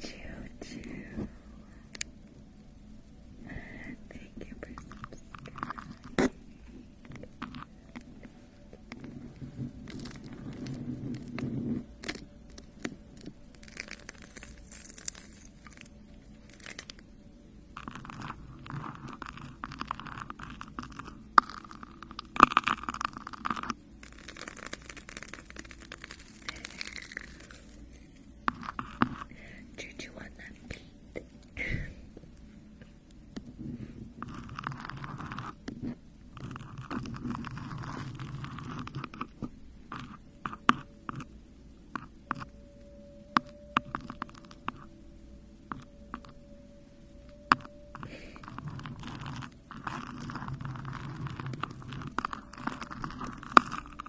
Choo choo. Thank you for subscribing. Choo you want that beat.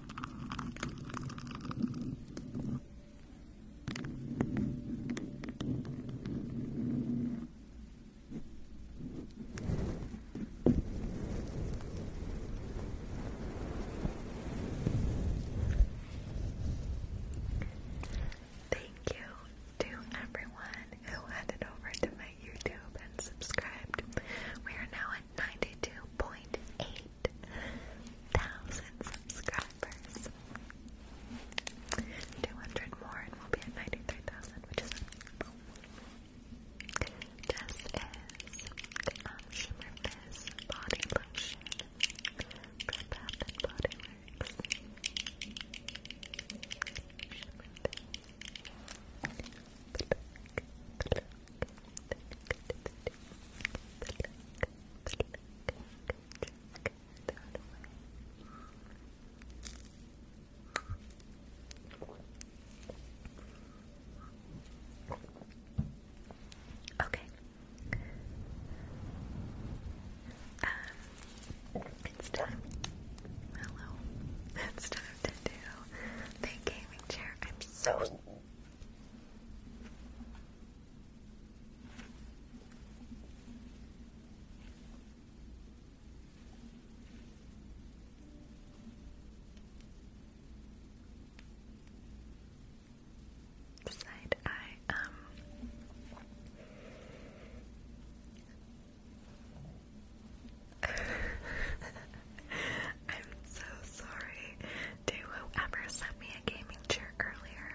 Thank you to everyone who headed over to my YouTube and subscribed. We are now 92.8 thousand subscribers. 200 more and we'll be at 93,000, which is just is um, Body Lotion from Bath Body Okay. Um, it's time. Hello. It's time to do the gaming chair. I'm so Side eye, um, I'm so sorry to whoever sent me a gaming chair earlier.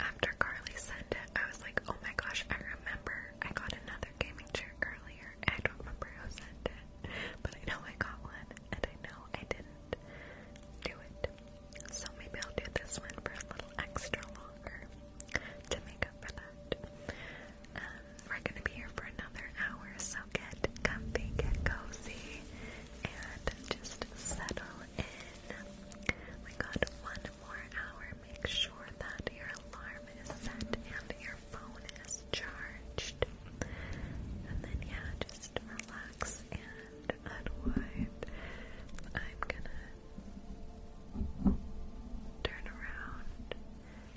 After Carly sent it, I was like, oh my gosh, I remember I got another gaming chair earlier. I don't remember who sent it, but I know I got one, and I know I didn't do it. So maybe I'll do this one for a little extra longer to make up for that. Um, we're gonna be here for another hour, so so get comfy, get cozy, and just settle in. We got one more hour. Make sure that your alarm is set and your phone is charged. And then, yeah, just relax and unwind. I'm gonna turn around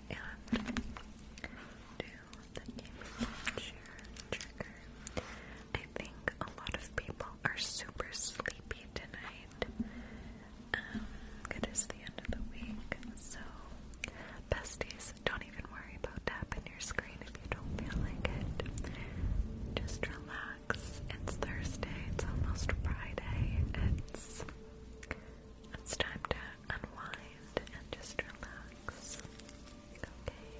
and do I think a lot of people are super sleepy tonight. it is the end of the week, so besties, don't even worry about tapping your screen if you don't feel like it. Just relax. It's Thursday. It's almost Friday. It's it's time to unwind and just relax. Okay?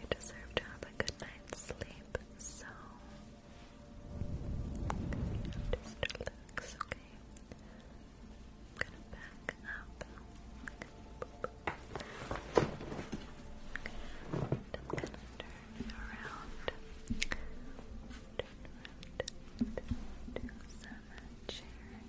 You deserve to have a good night's sleep, so just relax, okay? I'm gonna back up. And I'm gonna turn around. Turn around to the chair.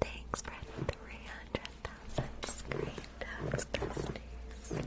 Thanks for three hundred thousand screen taps, Christies.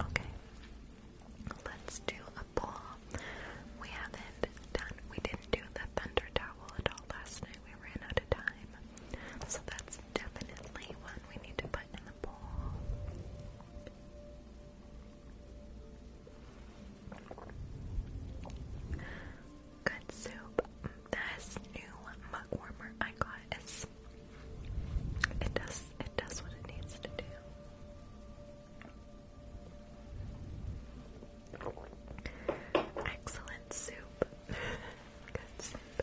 Okay. Let's do a ball. We haven't done, we didn't do the thunder towel at all last night. We ran out of time. So that's definitely one we need to put in the bowl. Good soup. This new mug warmer I got is it does it does what it needs to do. Excellent soup. Good soup.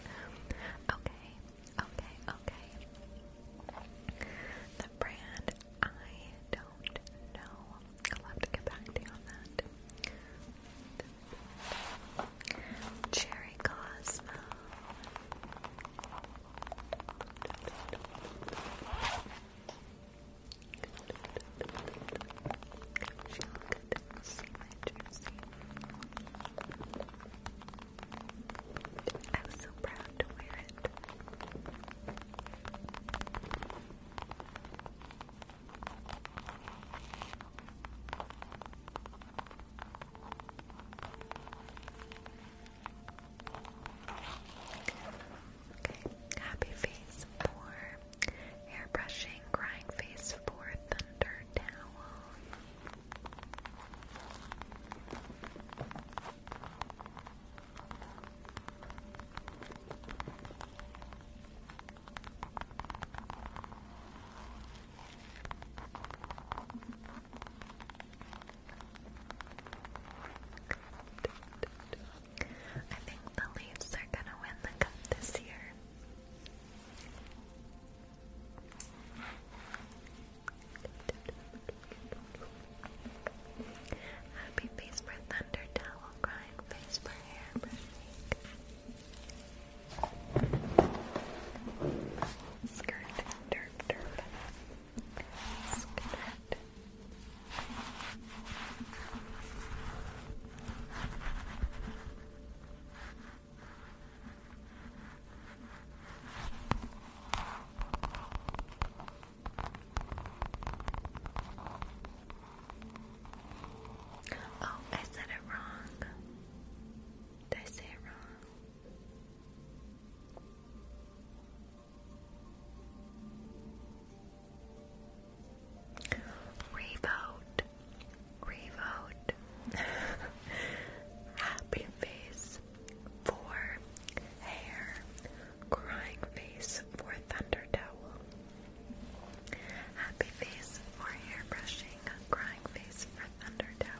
Okay, okay, okay. The brand I don't know. I'll have to get back to you on that. Cherry cosmos. I was so proud to wear it happy face four, hair brushing, crying face four, thunder towel. I think the Leafs are gonna win the cup this year. Happy face for thunder crying face for hair Skirt, derp, derp. Skirt. Oh, I said it wrong. Did I say it wrong? Revote. Revote. Happy face for hair. Crying face for thunder towel. Happy face for hair brushing, crying face for thunder towel.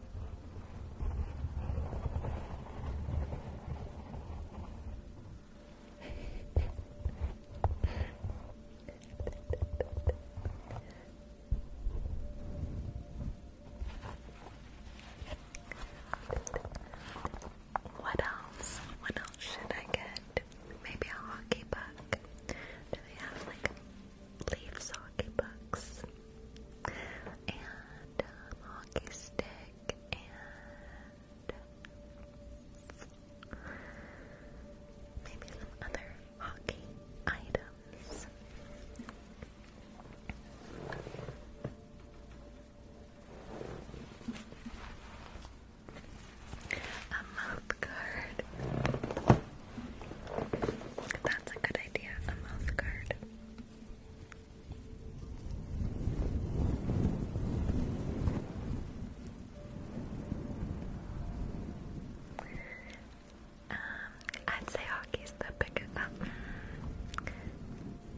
What else? What else should I get? Maybe a hockey puck. Do they have like leaves hockey pucks? and um, hockey stick and maybe some other hockey items. A mouth That's a good idea, a mouth um, I'd say hockey's the biggest. Um,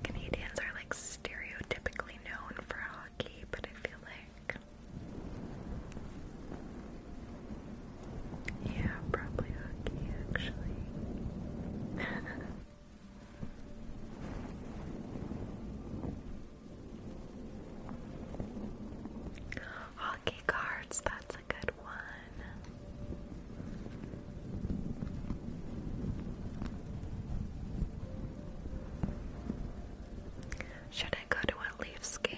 Canadians are like stereotypically known for hockey, but I feel like. Yeah, probably hockey actually. Hockey cards, that's a good one. Should I go to a leaf scam?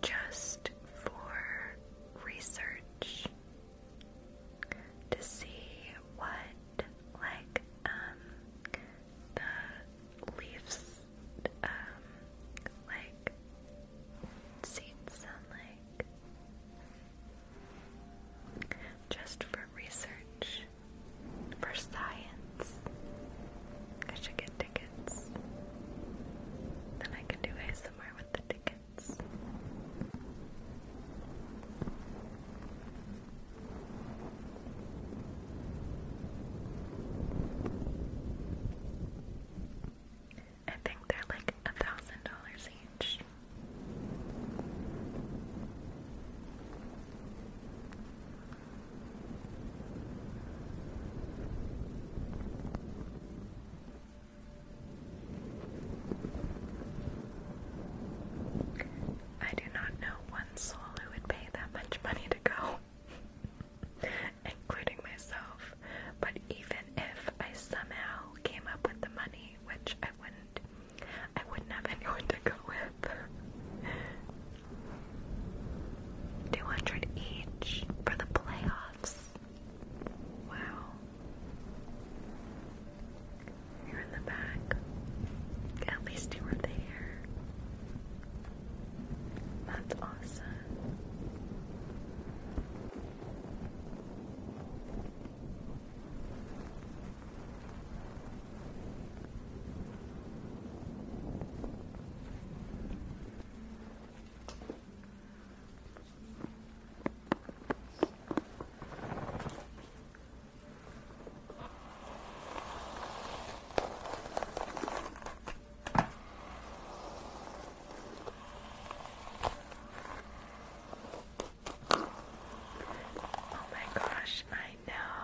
just for research to see what, like, um, the leaves, um, like, seeds sound like. Just for research, for science. I should get tickets. Then I can do ASMR with the tickets. I think they're like a thousand dollars each. I do not know one soul who would pay that much money to go, including myself. But even if I somehow came up with the money, which I wouldn't, I wouldn't have anyone to go with. 200 each for the playoffs. Wow. You're in the back. At least you were there. That's awesome. Oh my gosh, I know.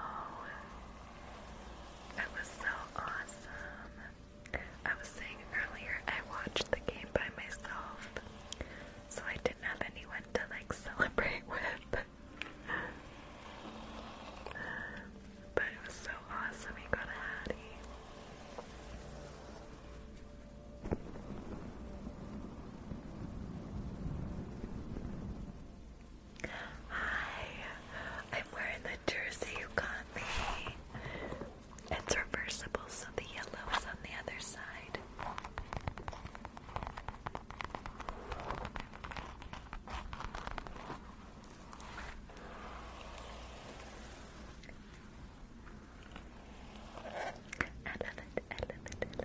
That was so awesome. I was saying earlier, I watched the game by myself, so I didn't have anyone to like celebrate with. but it was so awesome, he got a Hattie. Hi, I'm wearing the jersey you got me. It's reversible, so the yellow is on the other side. I love it, I love it, I love it,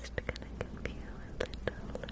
Just gonna give you a little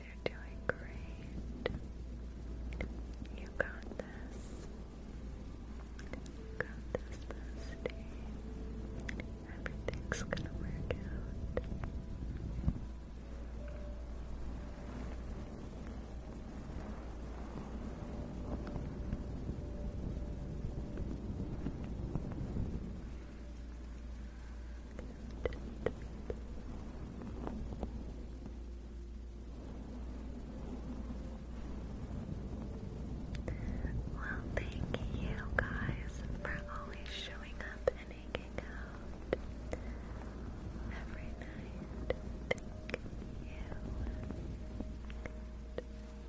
You're doing great. You got this. You got this, bestie. Everything's gonna work out. Well, thank you guys for always showing up and hanging out every night. Thank you.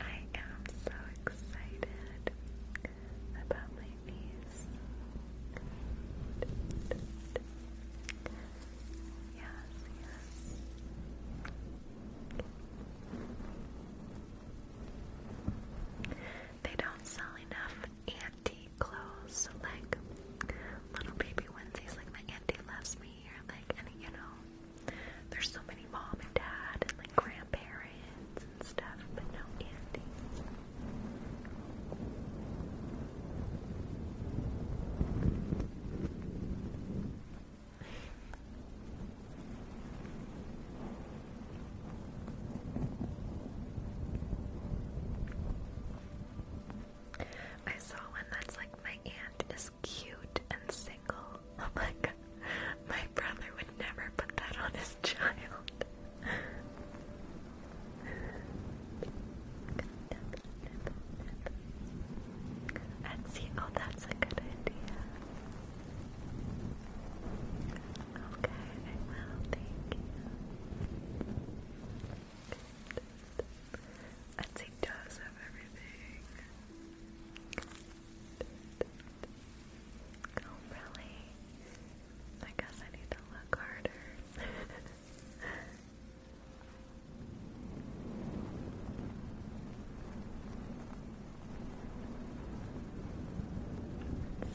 I am so excited about my knees. Yes, yes. They don't sell enough auntie clothes, so like little baby Wednesdays, like my auntie loves me, or like and you know, there's so many mom and dad and like grandparents and stuff, but no aunties. I saw one that's like, my aunt is cute and single. I'm oh like, My brother would never put that on his child. let see. Oh, that's a good idea. Okay, I will. Thank you. Etsy does have everything. Oh, really? I guess I need to look harder.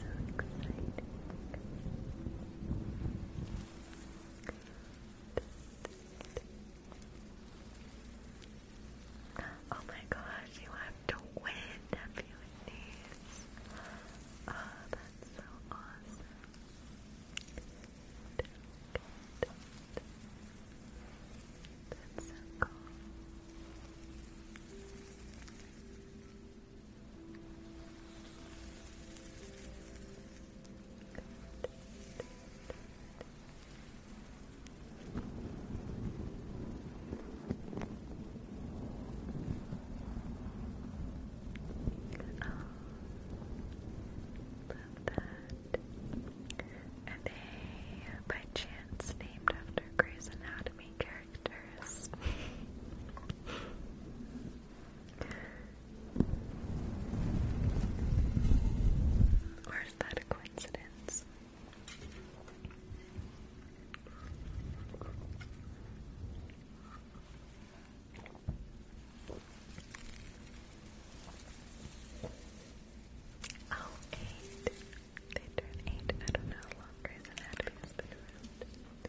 so exciting. Oh my gosh, you have to win a few of Oh, that's so awesome. That's so cool. Are they by chance named after Grey's Anatomy characters? Or is that a coincidence? Oh, eight. They turn eight. I don't know how long Grey's Anatomy has been around.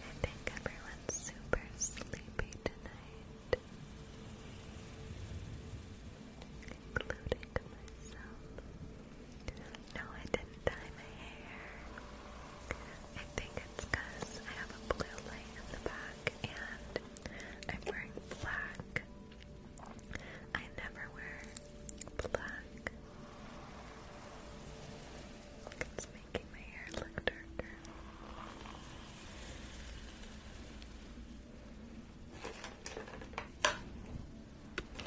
I think everyone's super sleepy tonight, including myself. No, I didn't dye my hair. I think it's I have a blue light in the back and I'm wearing black. I never wear black. it's making my hair look darker. Okay,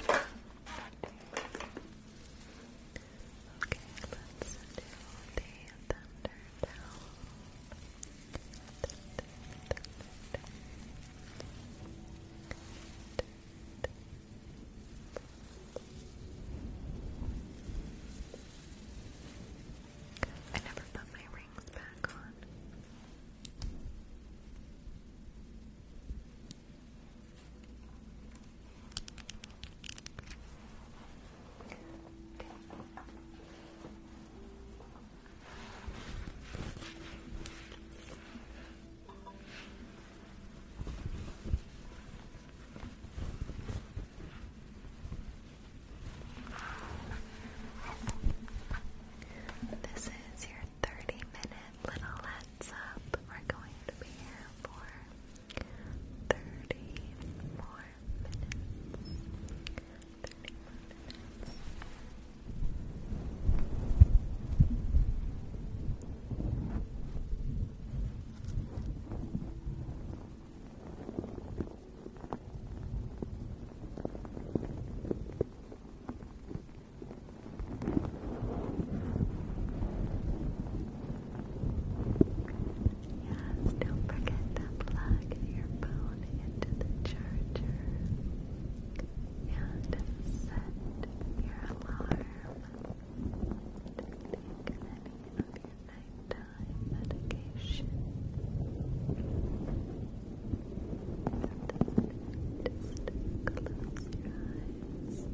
let's do the thunder I never put my rings back on. Okay. This is your 30 minute little heads up. We're going to be here for 30 more minutes. Yes, don't forget to plug your phone down into the charger and set your alarm to take any of your nighttime medication. Just close your eyes and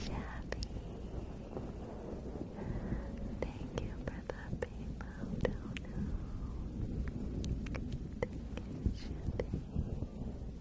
Shabby. Thank you for the PayPal dono. Thank you, Shabby.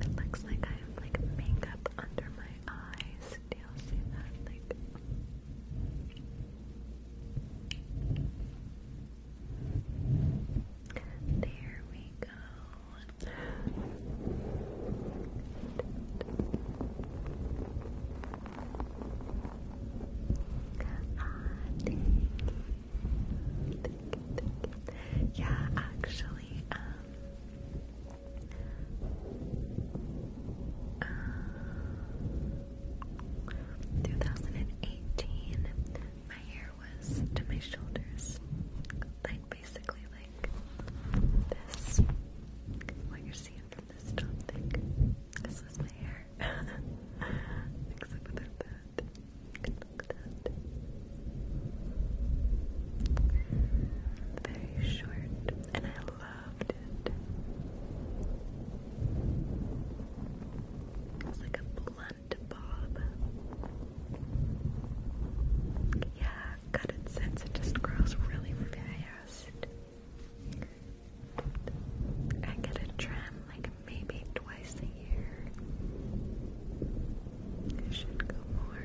It looks like I have like makeup under my eyes. Do you see that? Like there we go. Ah, thank you. Thank you, thank you. Yeah, actually, um, uh, 2018, my hair was to my shoulders. Like basically like this. What you're seeing from this top thing. This was my hair. Except without that. Look at that. Very short, and I loved it. It's like a blunt bob. Yeah, cut it since it just grows really fast. I get a trim like maybe twice a year. It should go more.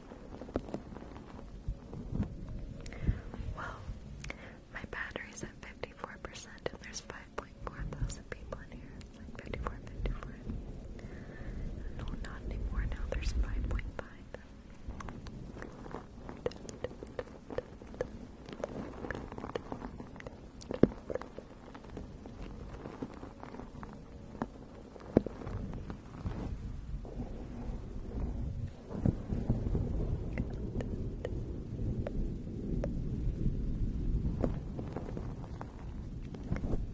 Well, my battery's at 54% and there's 5.4 thousand people in here. like 54, No, not anymore. Now there's 5.5.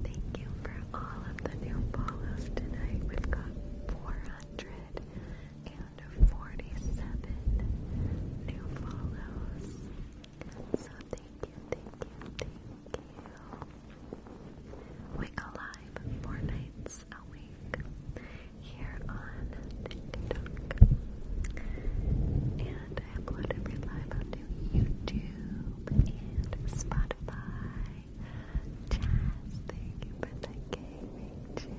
Thank you for all of the new follows tonight. We've got 447 new follows. So thank you, thank you, thank we go live four nights a week here on TikTok. And I upload every live onto YouTube and Spotify. thank you.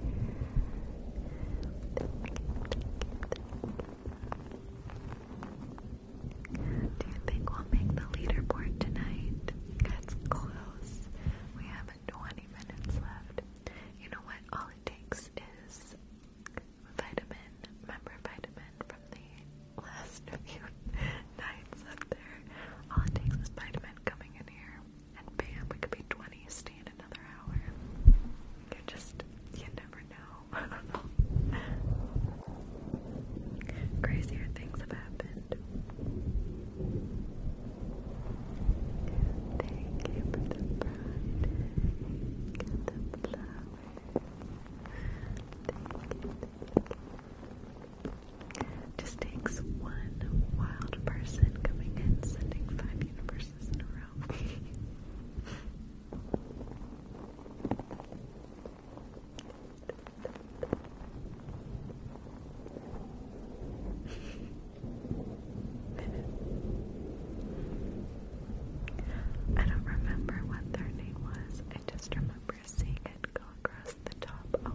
Do you think we'll make the leaderboard tonight? That's close. We have 20 minutes left. You know what? All it takes is vitamin. Remember vitamin from the last few nights up there? All it takes is vitamin coming in here, and bam, we could be 20. Stay another hour. you just, you never know. Crazier things have happened. Just takes one wild person coming in, sending five universes in a row. I don't remember what their name was. I just remember seeing it go across the top a lot.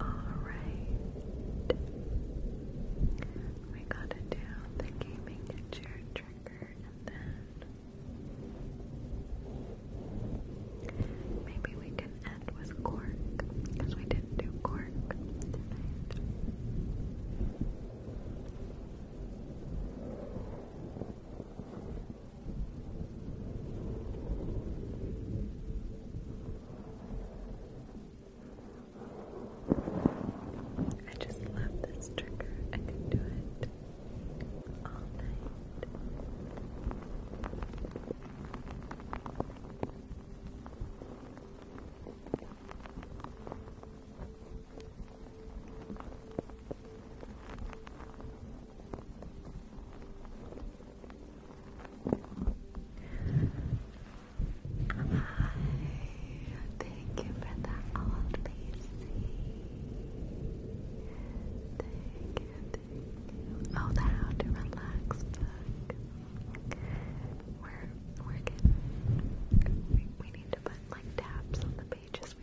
Alright. We gotta do the gaming chair trigger and then maybe we can end with cork because we didn't do cork I just love this trigger. I could do it all night. Thank you for the old PC. Thank you, Oh, the How Relax We're, we're getting, we, need to put like tabs on the pages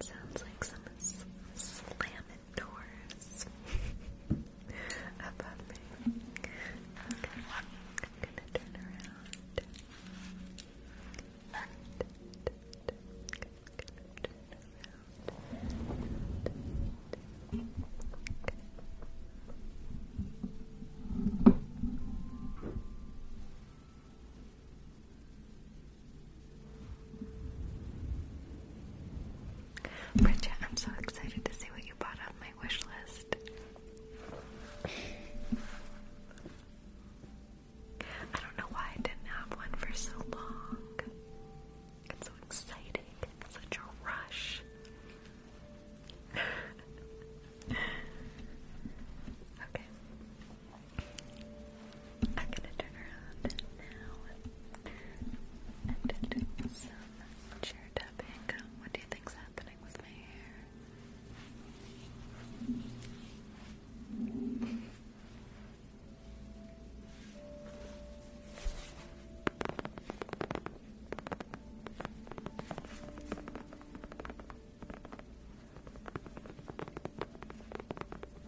Sounds like someone's slamming doors above me. I'm gonna turn I'm gonna turn around. Okay. Bridget, I'm so excited to see what you bought on my wish list. I don't know why I didn't have one for so long. It's so exciting. It's such a rush. okay. I'm gonna turn around now and do some chair tapping. What do you think's happening with my hair?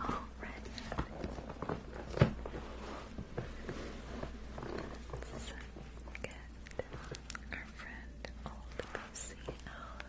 All right. So good. Our friend old Lucy Allen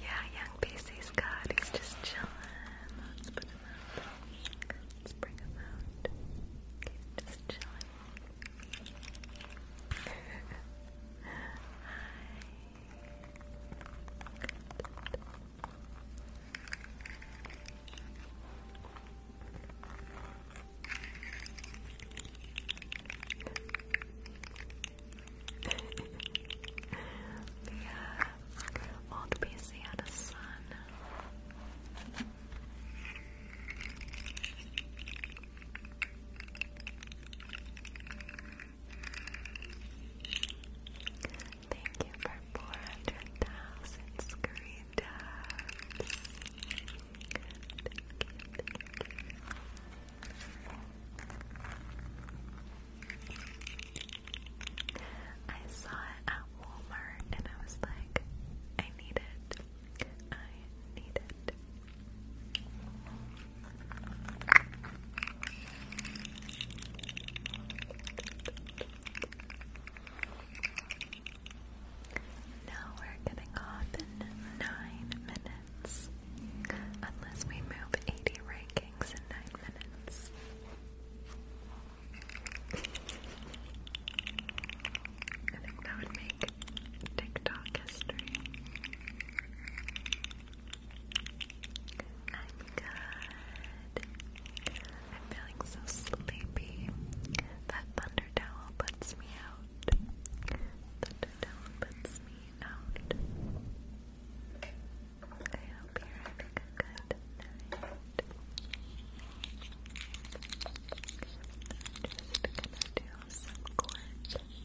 Yeah, young PC's God, he's just chilling. Let's put him out. Let's bring him out. Okay, just chillin'. Hi yeah, old PC had a son. Thank you for 400,000 screen I saw it at Walmart and I was like, I need it. I need it. Now we're getting off in nine minutes. Unless we move 80 rankings in nine minutes. I think that would make TikTok history. I'm good. I'm feeling so sleepy. That thunder towel puts me out. Thunder towel puts me out. I hope you're having good just gonna do some cords.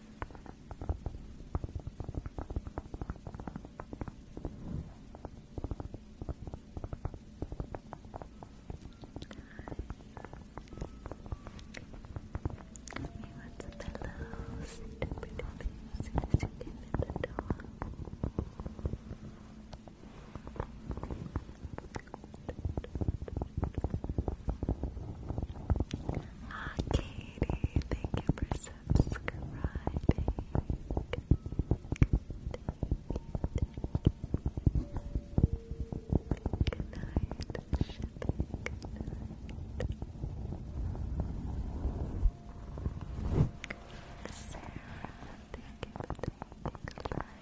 He wants a pillow, stupid things, as you give the dog. Katie, thank you for subscribing. Good night, Shippy. Good night. Sarah, thank you for taking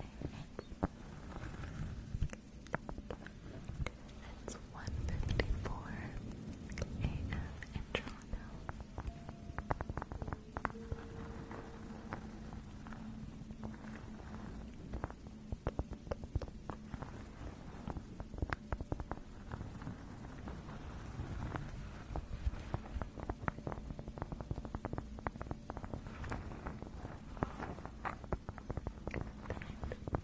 it's 1.54 a.m. in Toronto. Thank you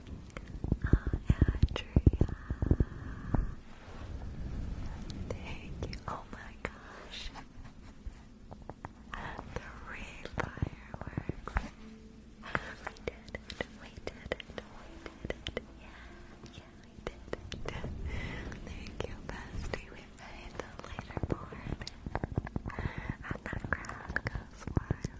Oh, Adria. Thank you. Oh my gosh. The red fireworks. We did it. We did it. We did it. Yeah. Yeah, we did Thank you, bestie. We made the leaderboard. And the crowd goes wild.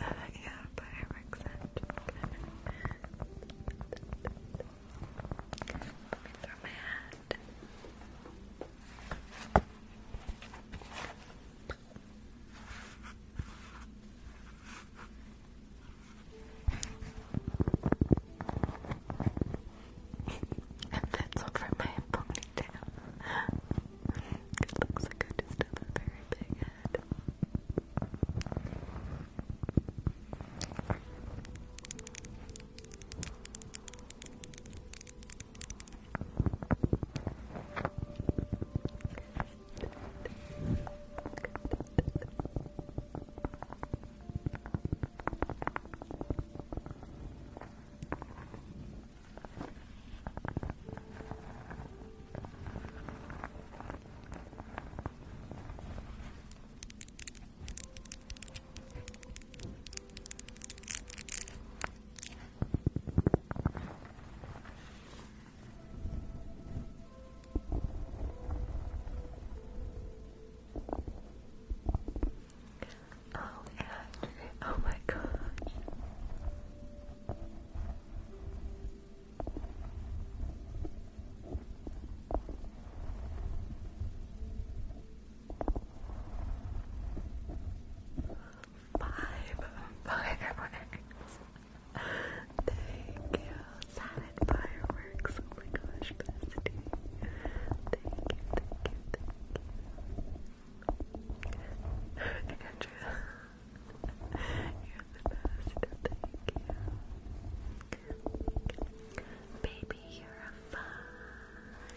Uh, yeah, but I accent. Let me throw my hat. and that's over my ponytail. It looks like I just have a very big head. Oh, yeah. Oh my gosh. Five, five fireworks. Thank you, salad fireworks. Oh my gosh, bestie. Thank you, thank you, thank you you're the best. Thank you. Baby, you're a firework.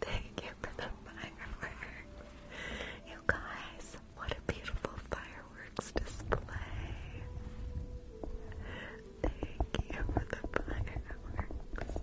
thank you for the firework. You guys, what a beautiful fireworks display. Thank you for the fireworks.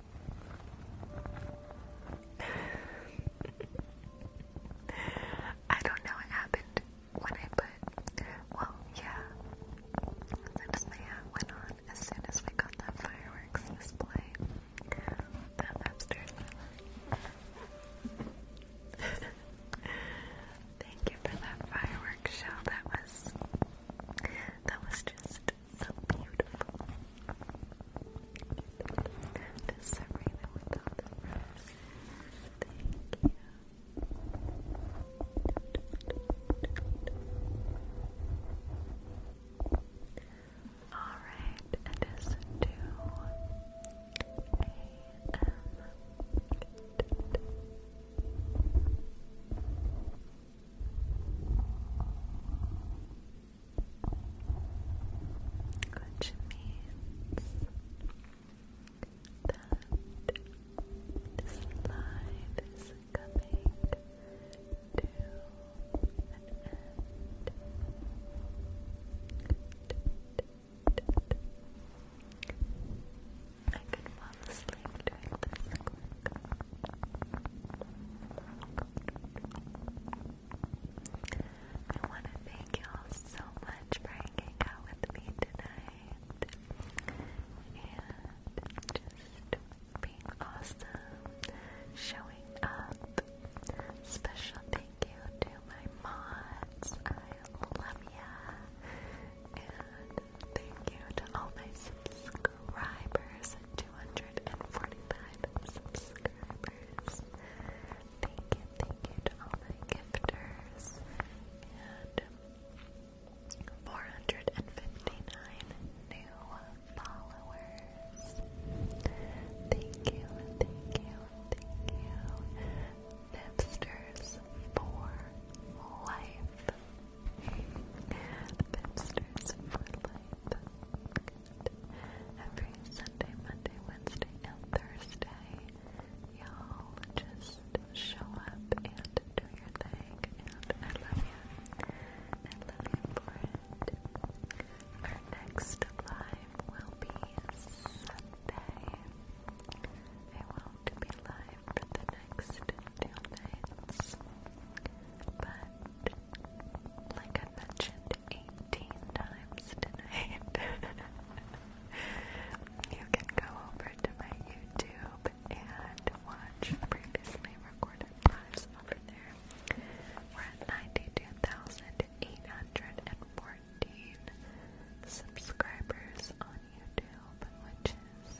I don't know what happened when I put. Well, yeah. Since my hat went on as soon as we got that fireworks display, that upstairs Thank you for that fireworks show. That was. That was just so beautiful. And Serena without the Thank you. Alright, it is 2 a.m. Which means that this live is coming to an end. I could fall I want to thank y'all so much for hanging out with me tonight and just being awesome, showing up. Special thank you to my mods. I love ya. And thank you to all my subscribers subscribers, 245 subscribers. Thank you, thank you to all my gifters. And 459 new followers. Thank you, thank you, thank you. Nipsters for life. The Pinsters for Life. Every Sunday, Monday, Wednesday, and Thursday, y'all just show up and do your thing. And I love you. And love you for Our next live will be Sunday. I won't be live for the next two nights, but like I mentioned 18 times tonight, you can go over to my YouTube and watch previously recorded lives over there. We're at 92,814 subscribers on YouTube, which is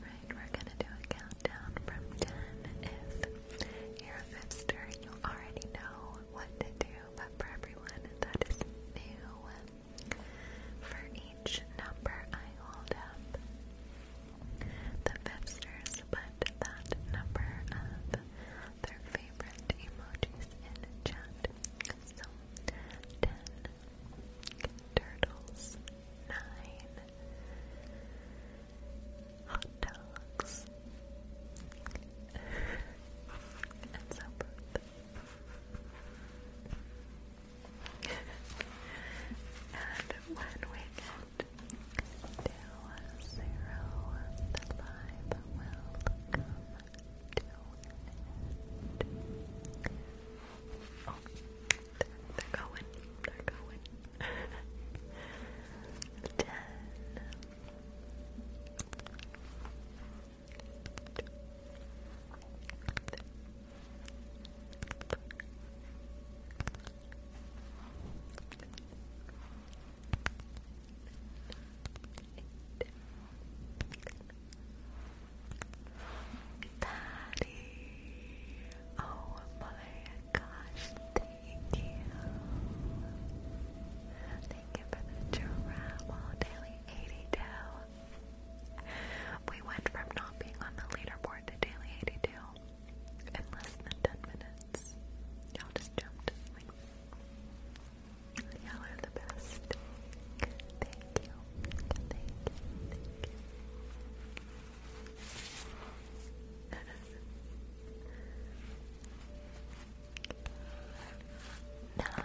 Right, we're gonna do a countdown from ten. If you're a fifster, you already know what to do, but for everyone that is new, for each number I hold up, the fifsters put that number of their favorite emojis in chat. So, 10 turtles, 9 hot dogs, and so and when we get to zero, the live will come to end. they're, going, they're going. Ten. Patty. Oh my gosh, thank you. Thank you for the travel oh, oh, daily We went from not being on the leaderboard to daily 82 in less than 10 minutes. Y'all just jumped you are the best. Thank you. Thank you. Nine.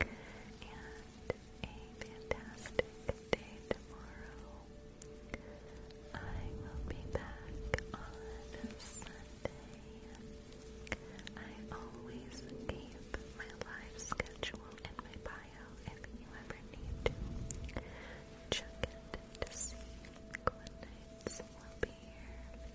and a fantastic day tomorrow. I will be back on Sunday. I always keep my live schedule in my bio if you ever need to. Check it to see what nights will be here.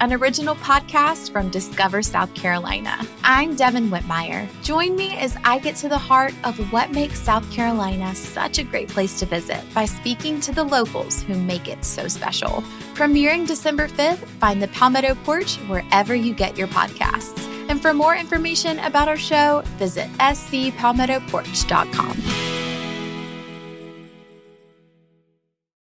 an original podcast from Discover South Carolina. I'm Devin Whitmire. Join me as I get to the heart of what makes South Carolina such a great place to visit by speaking to the locals who make it so special. Premiering December 5th, find the Palmetto Porch wherever you get your podcasts. And for more information about our show, visit scpalmettoporch.com.